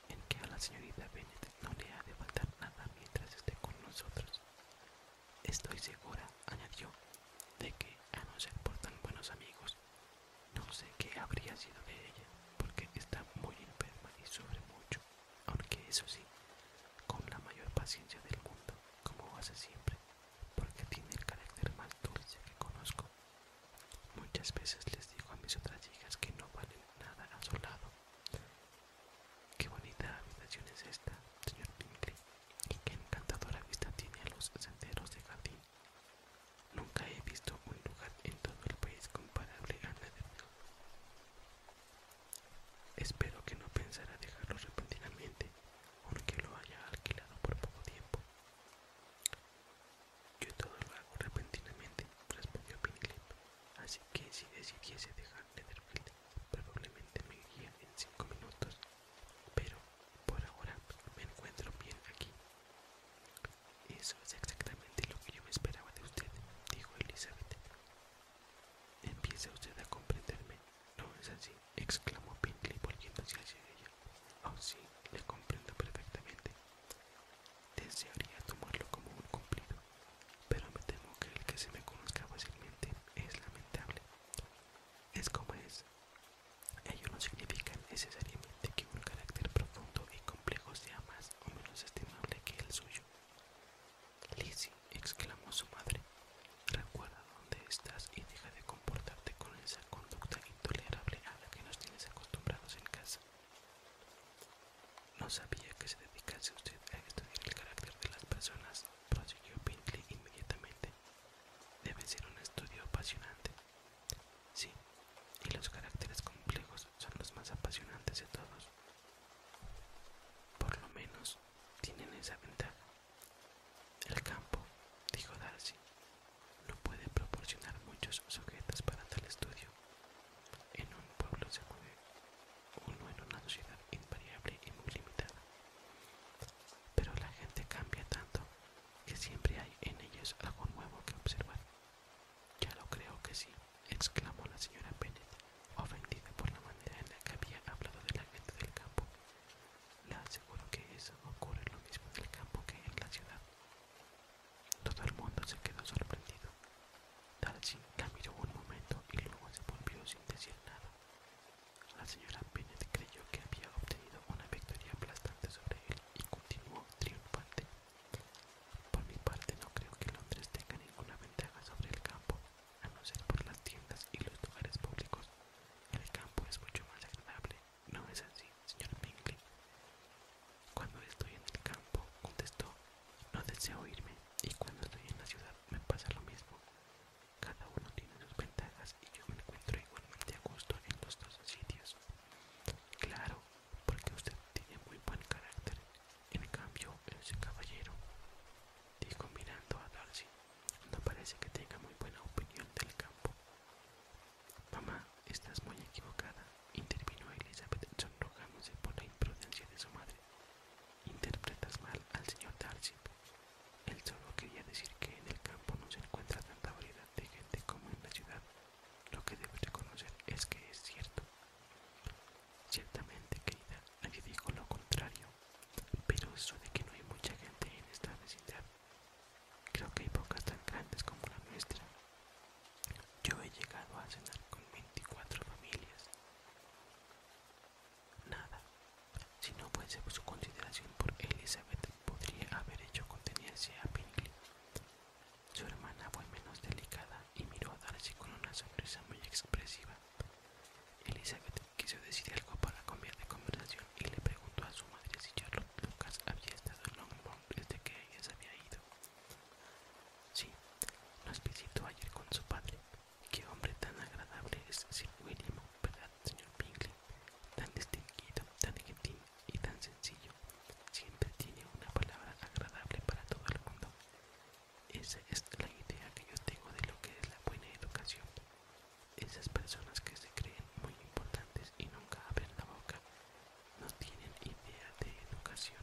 en que a la señorita Bennett no le ha de faltar nada mientras esté con nosotros. Estoy segura, añadió, de que, a no ser por tan buenos amigos, no sé qué habría sido de ella, porque está muy enferma y sufre mucho, aunque eso sí, con la mayor paciencia del mundo, como hace siempre, porque tiene el carácter más dulce que conozco. Muchas veces les digo a mis otras hijas que no valen nada a su lado, Qué bonita habitación es esta, señor Pinklip. y qué encantadora vista tiene a los senderos de jardín. Nunca he visto un lugar en todo el país comparable a la Espero que no pensara dejarlo repentinamente, aunque lo haya alquilado por poco tiempo. Yo todo lo hago repentinamente, respondió Pinkley, así que si decidiese dejar Netherfield Probablemente me guíe en cinco minutos, pero por ahora me encuentro bien aquí. Eso es exactamente lo que yo me esperaba de usted, dijo Elizabeth. Empieza usted a comprenderme, ¿no es así? exclamó Pinkley volviéndose hacia ella. Oh sí, le comprendo perfectamente. Desearía tomarlo como un cumplido, pero me temo que el que se me conozca fácilmente es lamentable. Es como es. Ello no significa necesariamente que un carácter profundo y complejo sea más o menos estimable que el suyo. Lizzie, exclamó su madre, recuerda dónde estás y deja de comportarte con esa conducta intolerable a la que nos tienes acostumbrados en casa. No sabía que se dedicase usted a estudiar el carácter de las personas, prosiguió Pinkley inmediatamente. Debe ser un estudio apasionante. Sí, y los caracteres complejos son los más apasionantes de todos. Por lo menos tienen esa ventaja. El campo, dijo Darcy, no puede proporcionar muchos sujetos para tal estudio. En un pueblo se puede uno en una sociedad invariable y muy limitada. Pero la gente cambia tanto que siempre hay en ellos algo nuevo que observar. Ya lo creo que sí, exclamó la señora Pérez, ofendida por la manera en la que había hablado de la gente del campo. La aseguro que eso ocurre lo mismo en el campo que en la ciudad. Todo el mundo se quedó sorprendido. Darcy la un momento y luego se volvió sin decir nada. La señora Bennett creyó que había obtenido una victoria aplastante sobre él y continuó triunfante. Por mi parte no creo que Londres tenga ninguna ventaja sobre el campo, a no ser por las tiendas y los lugares públicos. El campo es mucho más agradable, ¿no es así, señora Bingley? Cuando estoy en el campo, contestó, no deseo irme, y cuando estoy en la ciudad me pasa lo mismo. Cada uno tiene sus ventajas y yo me encuentro igualmente a gusto en los dos sitios. Claro, porque usted tiene muy buen carácter. En cambio, ese caballero, dijo mirando a Darcy, no parece que tenga muy buena opinión del campo. Mamá, estás muy equivocada, intervino Elizabeth sonrojándose por la imprudencia de su madre. Interpretas mal al señor Darcy. Él solo quería decir que en el campo no se encuentra tanta variedad de gente como en la ciudad. Lo que debo reconocer es que es cierto. Ciertamente, querida, nadie dijo lo contrario, pero eso de que no hay mucha gente en esta vecindad, creo que hay pocas tan grandes como la nuestra. Yo he llegado a cenar con 24 familias. Nada, si no fuese su consideración por Elizabeth, podría haber hecho contenerse a Pinkley. Su hermana fue menos delicada y miró a Darcy con una sonrisa muy expresiva. Elizabeth quiso decir algo para cambiar de conversación y le preguntó a su madre si Charlotte Lucas había estado en Longbourn desde que ella se había ido. Sí, nos visitó ayer con su padre, qué hombre tan agradable es Sir William, ¿verdad, señor Bingley? Tan distinguido, tan gentil y tan sencillo. Siempre tiene una palabra agradable para todo el mundo. Esa es la idea que yo tengo de lo que es la buena educación. Esas personas que se creen muy importantes y nunca abren la boca no tienen idea de educación.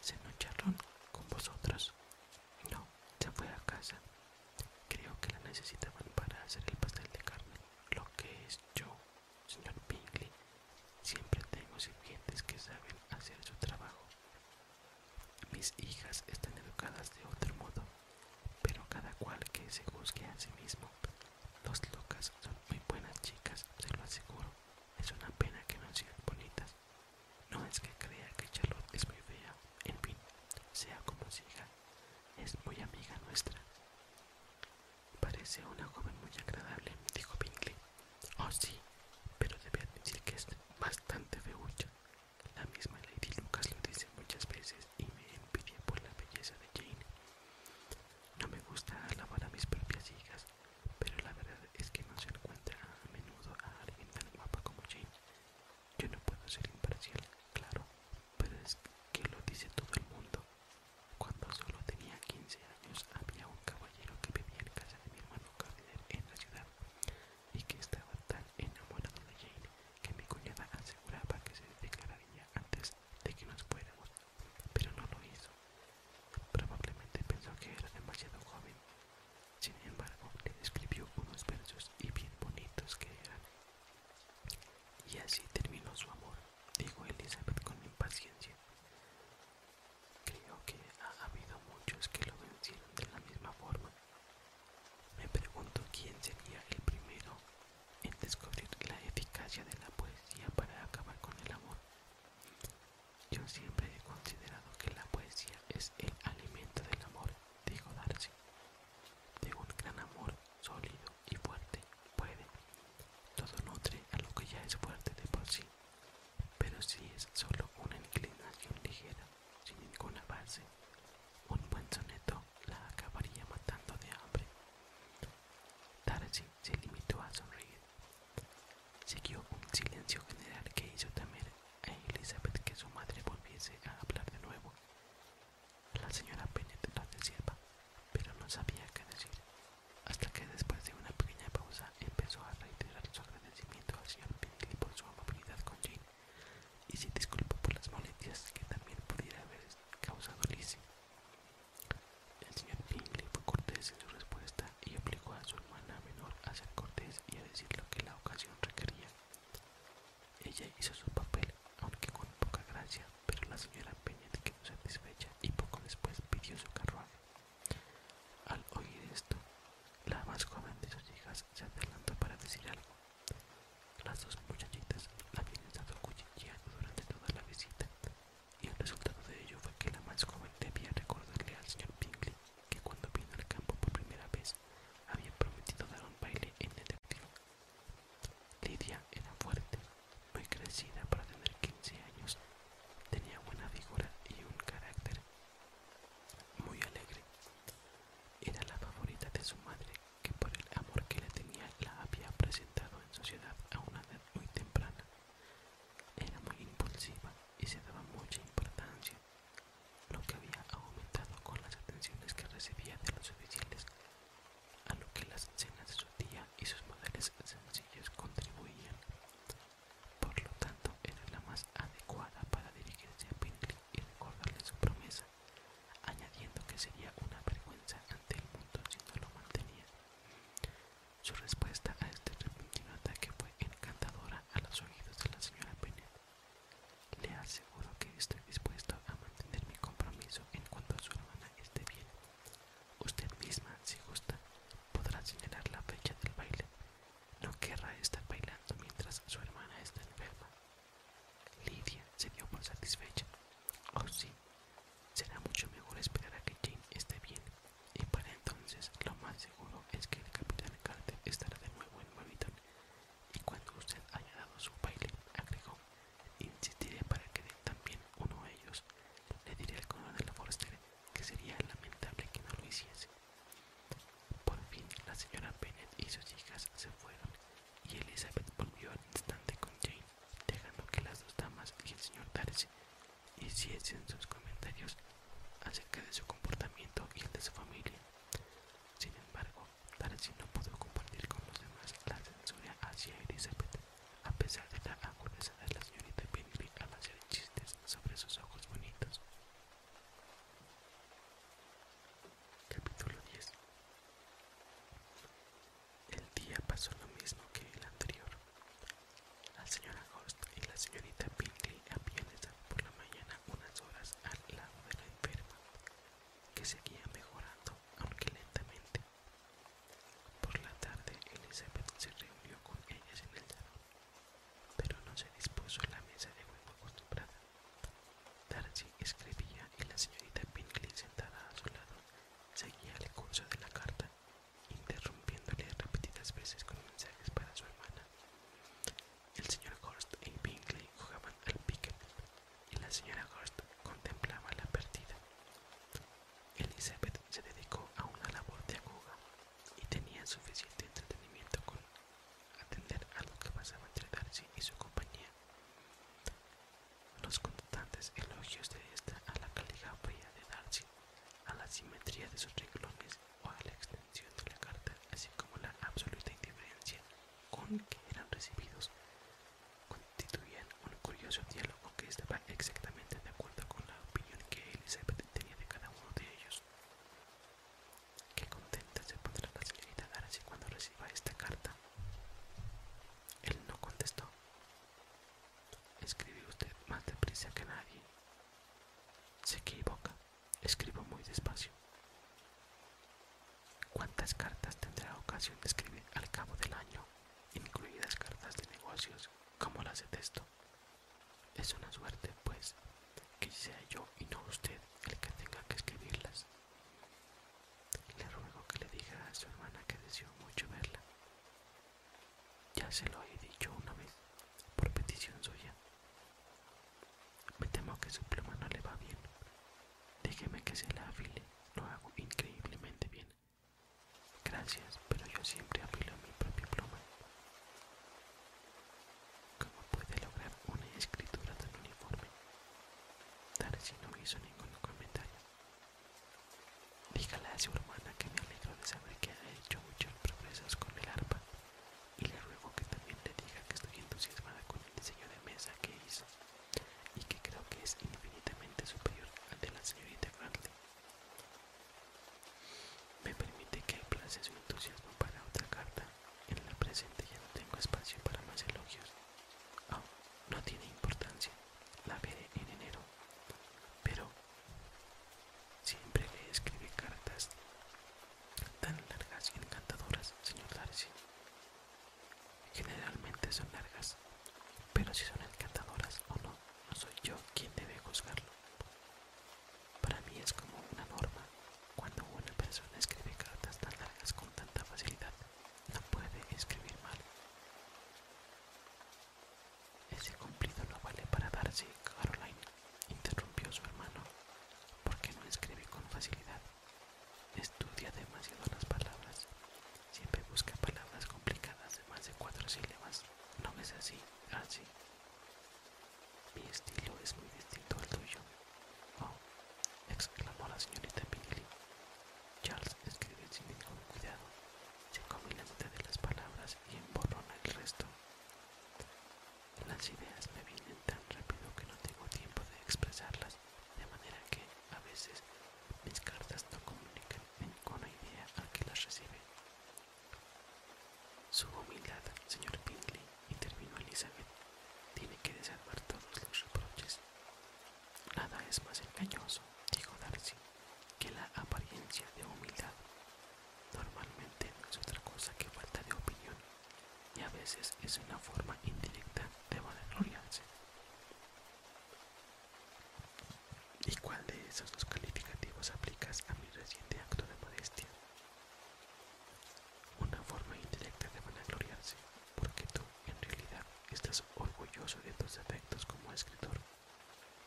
Se Charlón, con vosotros, no, se fue a casa. Creo que la necesitaban para hacer el pastel de carne. Lo que es yo, señor Bingley, siempre tengo sirvientes que saben hacer su trabajo. Mis hijas están educadas de otro modo, pero cada cual que se juzgue a sí mismo. Los locas son muy buenas chicas, se lo aseguro. Es una pena que no sean bonitas. No es que crea que Charlotte es muy fea, en fin, sea como siga, es muy amiga nuestra. Parece una joven muy agradable, dijo Bingley. Oh sí, pero debe admitir que es bastante feucha. La misma Lady Lucas lo dice muchas veces y me envidia por la belleza de Jane. No me gusta alabar a mis propias hijas, pero la verdad es que no se encuentra a menudo a alguien tan guapa como Jane yo no puedo ser imparcial, claro, pero es que lo dice todo el mundo. Cuando solo tenía 15 años había un caballero que vivía en casa de mi hermano Gardner en la ciudad y que estaba tan enamorado de Jane que mi cuñada aseguraba que se ella antes de que nos fuéramos, pero no lo hizo. Probablemente pensó que era demasiado joven sin embargo, le escribió unos versos y bien bonitos que eran. Y así terminó su amor, dijo Elizabeth con impaciencia. Creo que ha habido muchos que lo vencieron de la misma forma. Me pregunto quién sería el primero en descubrir la eficacia de la poesía para acabar con el amor. Yo siempre he considerado que la poesía es el alimento del amor dijo Darcy, de un gran amor sólido y fuerte puede. Todo nutre a lo que ya es fuerte de por sí, pero si es solo una inclinación ligera, sin ninguna base, un buen soneto la acabaría matando de hambre. Darcy se limitó a sonreír. Siguió un silencio general que hizo temer e Elizabeth que su madre volviese a hablar de nuevo. La señora Bennett lo deseaba, pero no sabía qué decir, hasta que después de una pequeña pausa empezó a reiterar su agradecimiento al señor Pinkley por su amabilidad con Jane y se disculpó por las molestias que también pudiera haber causado Lizzie. El señor Pinkley fue cortés en su respuesta y obligó a su hermana menor a ser cortés y a decir lo que la ocasión requería ella hizo su papel, aunque con poca gracia, pero la señora Peña se quedó satisfecha y poco después pidió su carruaje. Al oír esto, la más joven de sus hijas se adelantó para decir algo. Las dos muchachitas la habían estado cuchicheando durante toda la visita, y el resultado de ello fue que la más joven debía recordarle al señor Pinkley que cuando vino al campo por primera vez había prometido dar un baile en el Lidia era fuerte, muy crecida para tener 15 años, tenía buena figura y un carácter muy alegre. Era la favorita de su madre, que por el amor que le tenía la había presentado en sociedad a una edad muy temprana. Era muy impulsiva y se daba mucha importancia lo que había aumentado con las atenciones que recibía de los oficiales, a lo que las escenas de su tía y sus modales sencillos contribuían. Por lo tanto, era la más adecuada para dirigirse a Pinkley y recordarle su promesa, añadiendo que sería una vergüenza ante el mundo si no lo mantenía. Su respuesta a este repentino ataque fue encantadora a los oídos de la señora Bennet. Le aseguro que estoy dispuesto a mantener mi compromiso en cuanto a su hermana esté bien. Usted misma, si gusta, podrá señalar la fecha del baile. No querrá estar bailando mientras su hermana está enferma. Lidia se dio por satisfecha. Oh sí, será mucho mejor esperar a que Jane esté bien. Y para entonces lo más seguro es que el capitán Carter estará de muy buen Mavita y cuando usted haya dado su baile, agregó, insistiré para que dé también uno a ellos. Le diré al la Forster que sería lamentable que no lo hiciese. Por fin la señora Bennet y sus hijas se fueron y Elizabeth volvió al instante con Jane, dejando que las dos damas y el señor Darcy hiciesen sus comentarios acerca de su comportamiento y el de su familia. Sin embargo, Darcy no pudo compartir con los demás la censura hacia Elizabeth, a pesar de la agudeza de la señorita Pinkley al hacer chistes sobre sus ojos bonitos. Capítulo 10 El día pasó lo mismo que el anterior. La señora Ghost y la señorita Pinkley habían estado por la mañana unas horas al lado de la enferma, que seguía mejorando, aunque lentamente. Por la tarde, Elizabeth se reunió con ellas en el salón, pero no se dispuso la mesa de juego acostumbrada. Darcy escribía y la señorita Pinkley, sentada a su lado, seguía el curso de la carta, interrumpiéndole repetidas veces con mensajes para su hermana. El señor Horst y Bingley jugaban al piquet, y la señora Horst contemplaba la partida. Elizabeth se dedicó a una labor de aguja y tenía suficiente entretenimiento con atender a lo que pasaba entre Darcy y su compañía. Los constantes elogios de esta a la caligrafía de Darcy, a la simetría de sus renglones o a la extensión de la carta, así como la absoluta indiferencia con que eran recibidos constituían un curioso diálogo que estaba exactamente de acuerdo con la opinión que Elizabeth tenía de cada uno de ellos. Qué contenta se podrá la señorita Darcy cuando reciba esta carta. Él no contestó. Escribe usted más deprisa que nadie. Se equivoca, Escribo muy despacio. ¿Cuántas cartas tendrá ocasión de escribir al cabo del año, incluidas cartas de negocios, como las de texto? Es una suerte, pues, que sea yo y no usted el que tenga que escribirlas. Le ruego que le diga a su hermana que deseo mucho verla. Ya se lo he dicho una vez, por petición suya. Me temo que su pluma no le va bien. Déjeme que se la afile, lo hago increíblemente bien. Gracias, pero yo siempre afilo mi propia pluma. ¿Cómo puede lograr una escritura tan uniforme? si no hizo ningún comentario. Dígale a su hermana que me alegro de saber que ha hecho muchos progresos con el arpa y le ruego que también le diga que estoy entusiasmada con el diseño de mesa que hizo y que creo que es infinitamente superior al de la señorita Grantley. Me permite que aplace su entusiasmo para otra carta. En la presente ya no tengo espacio para más elogios. Oh, no tiene importancia. La veré en enero. Pero siempre le escribe cartas tan largas y encantadoras, señor Darcy. Generalmente son largas, pero si son encantadoras o no, no soy yo quien debe juzgarlo. Para mí es como una norma. Cuando una persona escribe cartas tan largas con tanta facilidad, no puede escribir mal. Ese cumplido no vale para Darcy, Caroline, interrumpió su hermano, porque no escribe con facilidad Estudia demasiado las palabras. Siempre busca palabras complicadas de más de cuatro sílabas. No es así, así. Mi estilo es muy distinto al tuyo. Oh, exclamó la señorita billy Charles escribe sin ningún cuidado. Se come la mitad de las palabras y emborrona el resto. Las ideas me vienen tan rápido que no tengo tiempo de expresarlas, de manera que a veces mis cartas no comunican ninguna idea a que las recibe. Su humildad, señor Finley, intervino Elizabeth, tiene que desarmar todos los reproches. Nada es más engañoso, dijo Darcy, que la apariencia de humildad. Normalmente no es otra cosa que falta de opinión y a veces es una forma indirecta de vanagloriarse. ¿Y cuál de esos dos calificativos aplicas a mi reciente acto de modestia? Una forma indirecta de vanagloriarse, porque tú en realidad estás orgulloso de tus defectos como escritor,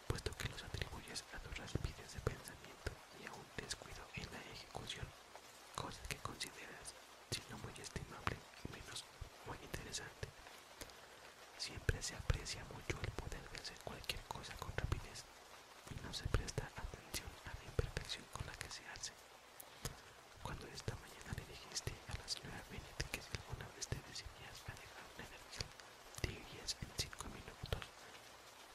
puesto que los atribuyes a tus raspides de pensamiento y a un descuido en la ejecución cosa que consideras, si no muy estimable, menos muy interesante. Siempre se aprecia mucho el poder de hacer cualquier cosa con rapidez y no se presta atención a la imperfección con la que se hace. Cuando esta mañana le dijiste a la señora Bennett que si alguna vez te decidías a una energía, en cinco minutos,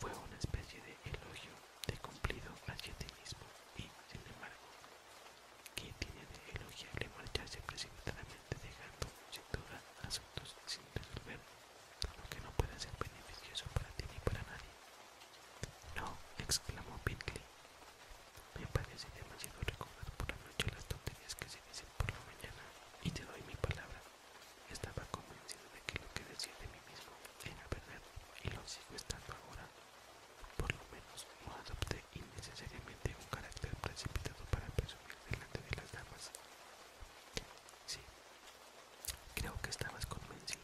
fue una especie de elogio de cumplido hacia ti mismo y, sin embargo, ¿qué tiene de elogiable marcharse precipitadamente dejando sin duda asuntos sin resolver, lo que no puede ser beneficioso para ti ni para nadie? No, exclamó Pinkley. Me parece demasiado recordar por la noche las tonterías que se dicen por la mañana y te doy mi palabra. Estaba convencido de que lo que decía de mí mismo era verdad y lo sigo estando ahora. Por lo menos no adopté innecesariamente un carácter precipitado para presumir delante de las damas. Sí, creo que estabas convencido,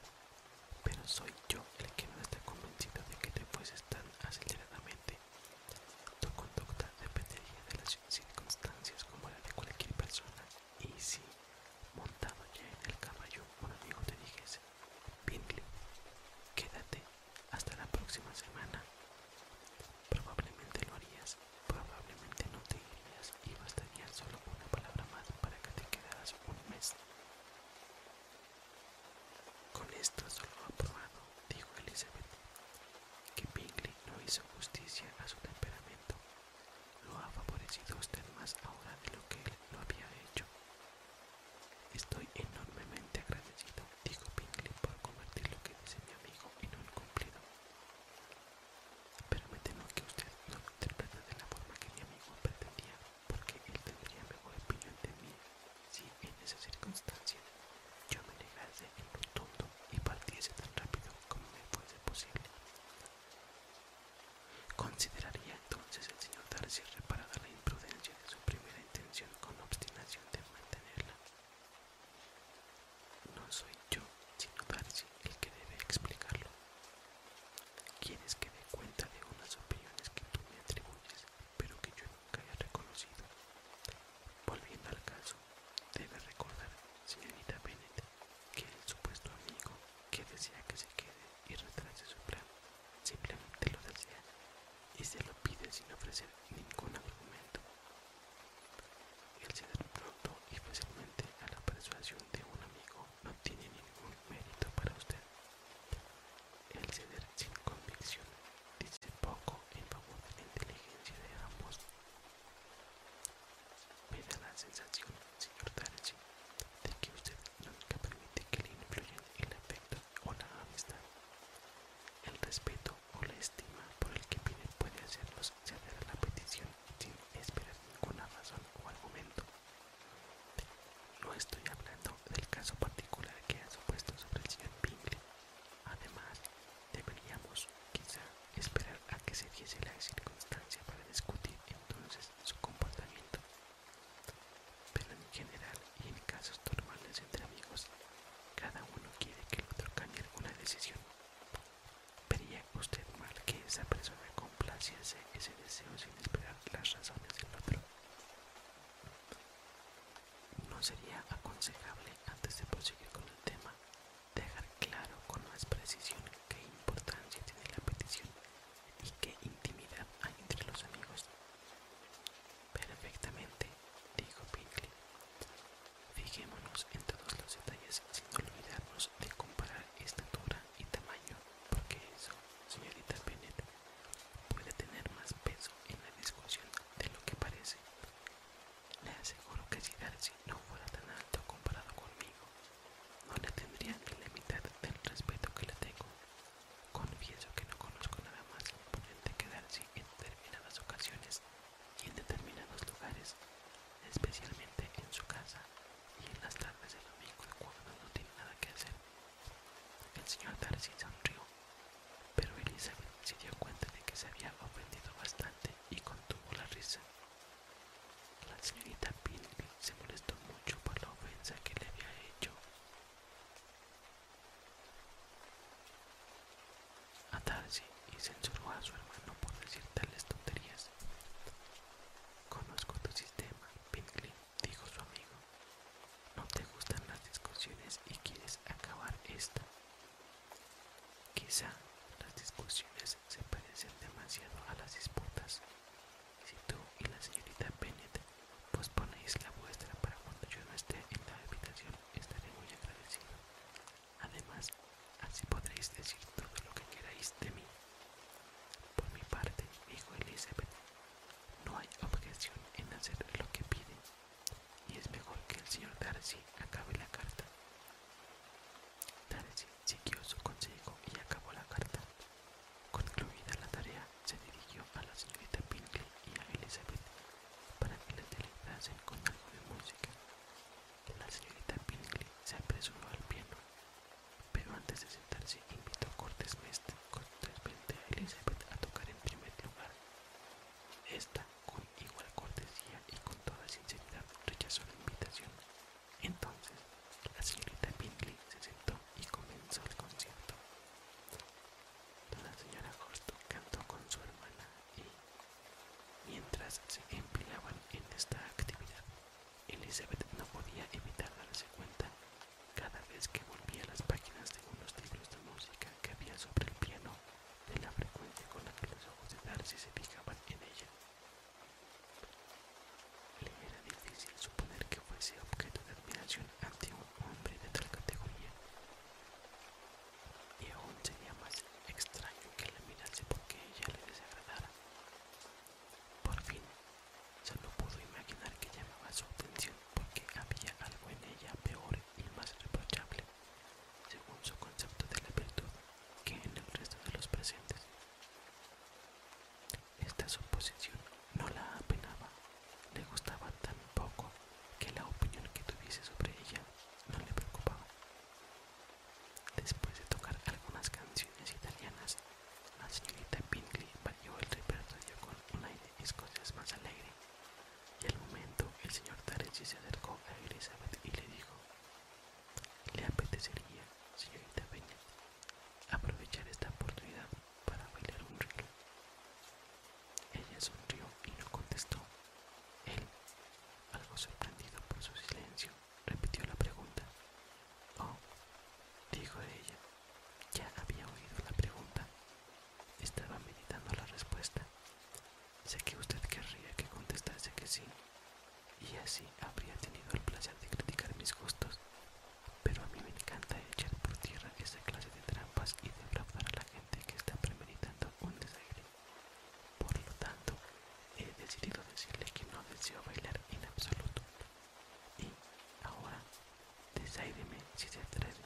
pero soy yo el que no está convencido de que te fueses tan aceleradamente. Tu conducta dependería de las circunstancias como la de cualquier persona y si, montado ya en el caballo, un amigo te dijese Bingley, quédate hasta la próxima semana. Probablemente lo harías, probablemente no te irías y bastaría solo una palabra más para que te quedaras un mes. Con esto solo ha probado, dijo Elizabeth, que Bingley no hizo justicia a su temperamento. Lo ha favorecido usted más ahora de lo que él lo había hecho. Estoy enormemente agradecido, dijo Pinkley, por convertir lo que dice mi amigo en un cumplido. Pero me temo que usted no lo interpreta de la forma que mi amigo pretendía, porque él tendría mejor opinión de mí si en esa circunstancia yo me negase en rotundo y partiese tan rápido como me fuese posible. Consideraría entonces el señor Darcy reparada la imprudencia de su primera intención con obstinación de mantenerla. No soy yo, sino Darcy, el que debe explicarlo. Quieres que dé cuenta de unas opiniones que tú me atribuyes, pero que yo nunca he reconocido. Volviendo al caso, debe recordar, señorita Bennet, que el supuesto amigo que desea que se quede y retrase su plan simplemente lo desea y se lo pide sin ofrecer ningún argumento. El ceder pronto y fácilmente a la persuasión de un amigo no tiene ningún mérito para usted. El ceder sin convicción dice poco en favor de la inteligencia de ambos. la sensación, señor Darcy, de que usted nunca permite que le influyan el afecto o la amistad. El respeto o la estima por el que pide puede hacerlos ceder a la petición sin esperar ninguna razón o argumento. No estoy hablando del caso particular que ha supuesto sobre el señor Bingley. Además, deberíamos quizá esperar a que se diese la circunstancia para discutir entonces su comportamiento pero en general y en casos normales entre amigos, cada uno quiere que el otro cambie alguna decisión. Vería usted mal que esa persona complaciese ese deseo sin esperar las razones del otro. No sería aconsejable antes de proseguir con el tema dejar claro con más precisión qué importancia tiene la petición y qué intimidad hay entre los amigos Perfectamente, dijo Pinkley. Fijémonos en todos los detalles sin olvidarnos de comparar estatura y tamaño, porque eso, señorita Bennett, puede tener más peso en la discusión de lo que parece. Le aseguro que si Darcy no fuera tan alto comparado conmigo, no le tendría ni la mitad del respeto que le tengo. Confieso que no conozco nada más imponente que Darcy en determinadas ocasiones y en determinados lugares, especialmente en su casa y en las tardes del domingo cuando no tiene nada que hacer. El señor Darcy sonrió, pero Elizabeth se dio cuenta de que se había ofendido bastante y contuvo la risa. La señorita Pilby se molestó mucho por la ofensa que le había hecho a y censuró a su hermano por decir tales tonterías. Conozco tu sistema, Pinkley, dijo su amigo. No te gustan las discusiones y quieres acabar esta. Quizá las discusiones se parecen demasiado a las disputas. Si tú y la señorita Bennett posponéis la vuestra para cuando yo no esté en la habitación, estaré muy agradecido. Además, así podréis decir todo lo que queráis de mí. Por mi parte, dijo Elizabeth, no hay objeción en hacer lo que piden, y es mejor que el señor Darcy acabe la carta. Darcy siguió su consejo y acabó la carta. Concluida la tarea, se dirigió a la señorita Pinkley y a Elizabeth para que la deleitasen con algo de música. La señorita Pinkley se apresuró al piano, pero antes de sentarse invitó cortésmente a Elizabeth a tocar en primer lugar. Esta, con igual cortesía y con toda sinceridad, rechazó la invitación. Entonces, la señorita Pinkley se sentó y comenzó el concierto. La señora Costo cantó con su hermana y, mientras se empleaban en esta actividad, Elizabeth no podía evitar darse cuenta cada vez que volvía las páginas de unos libros de música que había sobre el piano de la frecuencia con la que los ojos de Darcy se fijaban en ella. Le era difícil suponer que fuese objeto de admiración ante hombre de tal categoría. Y aún sería más extraño que la mirase porque ella le desagradara. Por fin, solo pudo imaginar que llamaba su atención porque había algo en ella peor y más reprochable, según su concepto de la virtud, que en el resto de los presentes. Esta suposición no la apenaba. Le gustaba tan poco que la opinión que tuviese sobre ella no le preocupaba. Después de tocar algunas canciones italianas, la señorita Bingley varió el repertorio con un aire escocés más alegre, y al momento el señor Darcy se acercó a Elizabeth y le dijo: ¿Le apetecería, señorita Peña, aprovechar esta oportunidad para bailar un río Ella sonrió y no contestó. Él, algo sorprendido por su silencio, repitió la pregunta. Oh, dijo ella. Ya había oído la pregunta. Estaba meditando la respuesta. Sé que usted querría que contestase que sí, y así habría tenido el placer de criticar mis gustos pero a mí me encanta echar por tierra esta clase de trampas y defraudar a la gente que está premeditando un desaire. Por lo tanto, he decidido decirle que no deseo bailar en absoluto. Y ahora, desaireme si se atreve.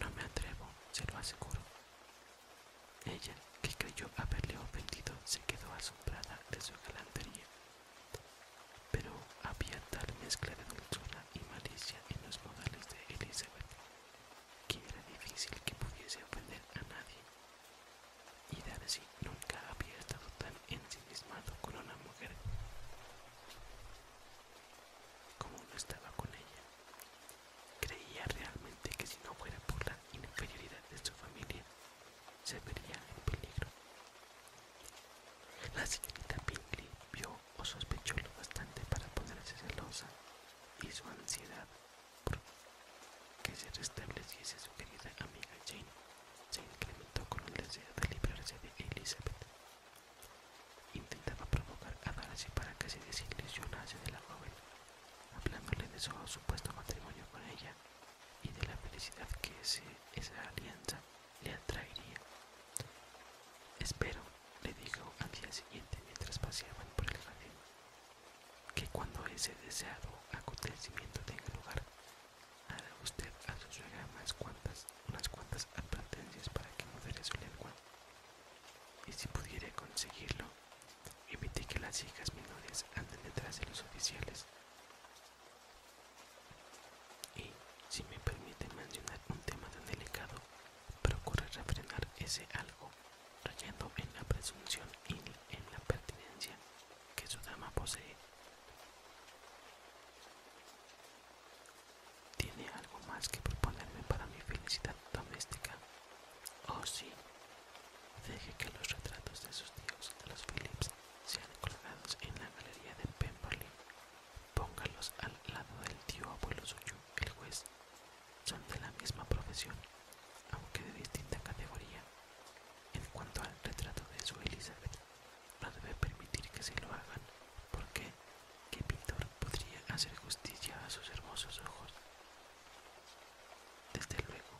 No me atrevo, se lo aseguro. Ella, que creyó haberle ofendido, se quedó asombrada de su galantería pero había tal mezcla de dulzura y malicia en los modales de Elizabeth que era difícil que pudiese ofender a nadie, y Darcy nunca había estado tan ensimismado con una mujer como no estaba con ella. Creía realmente que si no fuera por la inferioridad de su familia, se vería en peligro. La señorita Bingley vio o sospechó lo bastante para ponerse celosa y su ansiedad por que se restableciese su querida amiga Jane se incrementó con el deseo de librarse de Elizabeth. Intentaba provocar a Darcy para que se desilusionase de la joven, hablándole de su supuesto matrimonio con ella y de la felicidad que ese, esa alianza le atraería. Espero, le digo al día siguiente mientras paseaban por el jardín, que cuando ese deseado acontecimiento tenga lugar, hará usted a su suegra unas cuantas, unas cuantas advertencias para que modere su lengua. Y si pudiera conseguirlo, evite que las hijas menores anden detrás de los oficiales. Y, si me permite mencionar un tema tan delicado, procure refrenar ese algo, rayando en la presunción y en la pertinencia que su dama posee. ¿Tiene algo más que proponerme para mi felicidad doméstica? Oh sí, deje que los retratos de sus tíos, de los Phillips, sean colgados en la galería de Pemberley Póngalos al lado del tío abuelo suyo, el juez. Son de la misma profesión, aunque de distinta categoría. En cuanto al retrato de su Elizabeth, no debe permitir que se lo hagan, porque ¿qué pintor podría hacer justicia a sus hermosos ojos? Desde luego,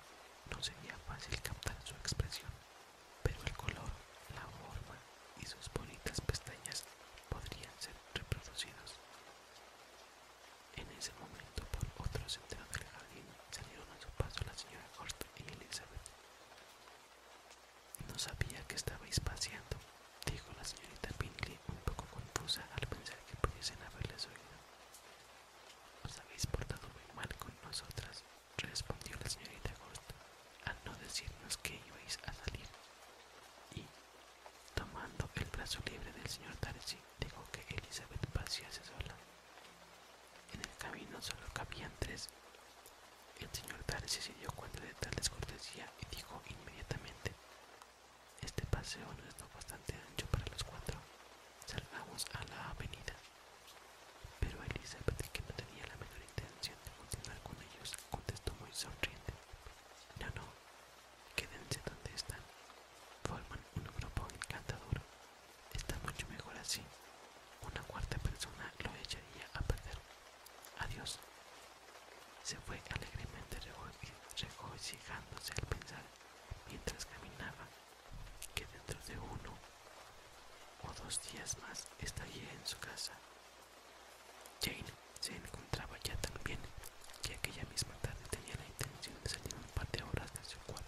no sería fácil captar su expresión, pero el color, la forma y sus bonitas pestañas podrían ser reproducidas En ese momento, por otros centro del jardín, salieron a su paso la señora Gordon y Elizabeth. No sabía que estabais paseando, dijo la señorita Pinkley, un poco confusa al pensar que pudiesen haberles oído. Os habéis portado muy mal con nosotras, respondió la señorita Hort al no decirnos que ibais a salir. Y, tomando el brazo libre del señor Darcy, dijo que Elizabeth pasease sola. En el camino solo cabían tres. El señor Darcy se dio cuenta de tal descortesía y dijo inmediatamente: Este paseo no está bastante ancho para los cuatro. Salgamos a la avenida. Pero Elizabeth, que no tenía la menor intención de continuar con ellos, pues, contestó muy sonriente. No, no, quédense donde están. Forman un grupo encantador. Está mucho mejor así. Una cuarta persona lo echaría a perder. Adiós. Se fue alegremente regocijándose al pensar mientras caminaba que dentro de uno o dos días más estaría en su casa Jane se encontraba ya tan bien que aquella misma tarde tenía la intención de salir un par de horas de su cuarto.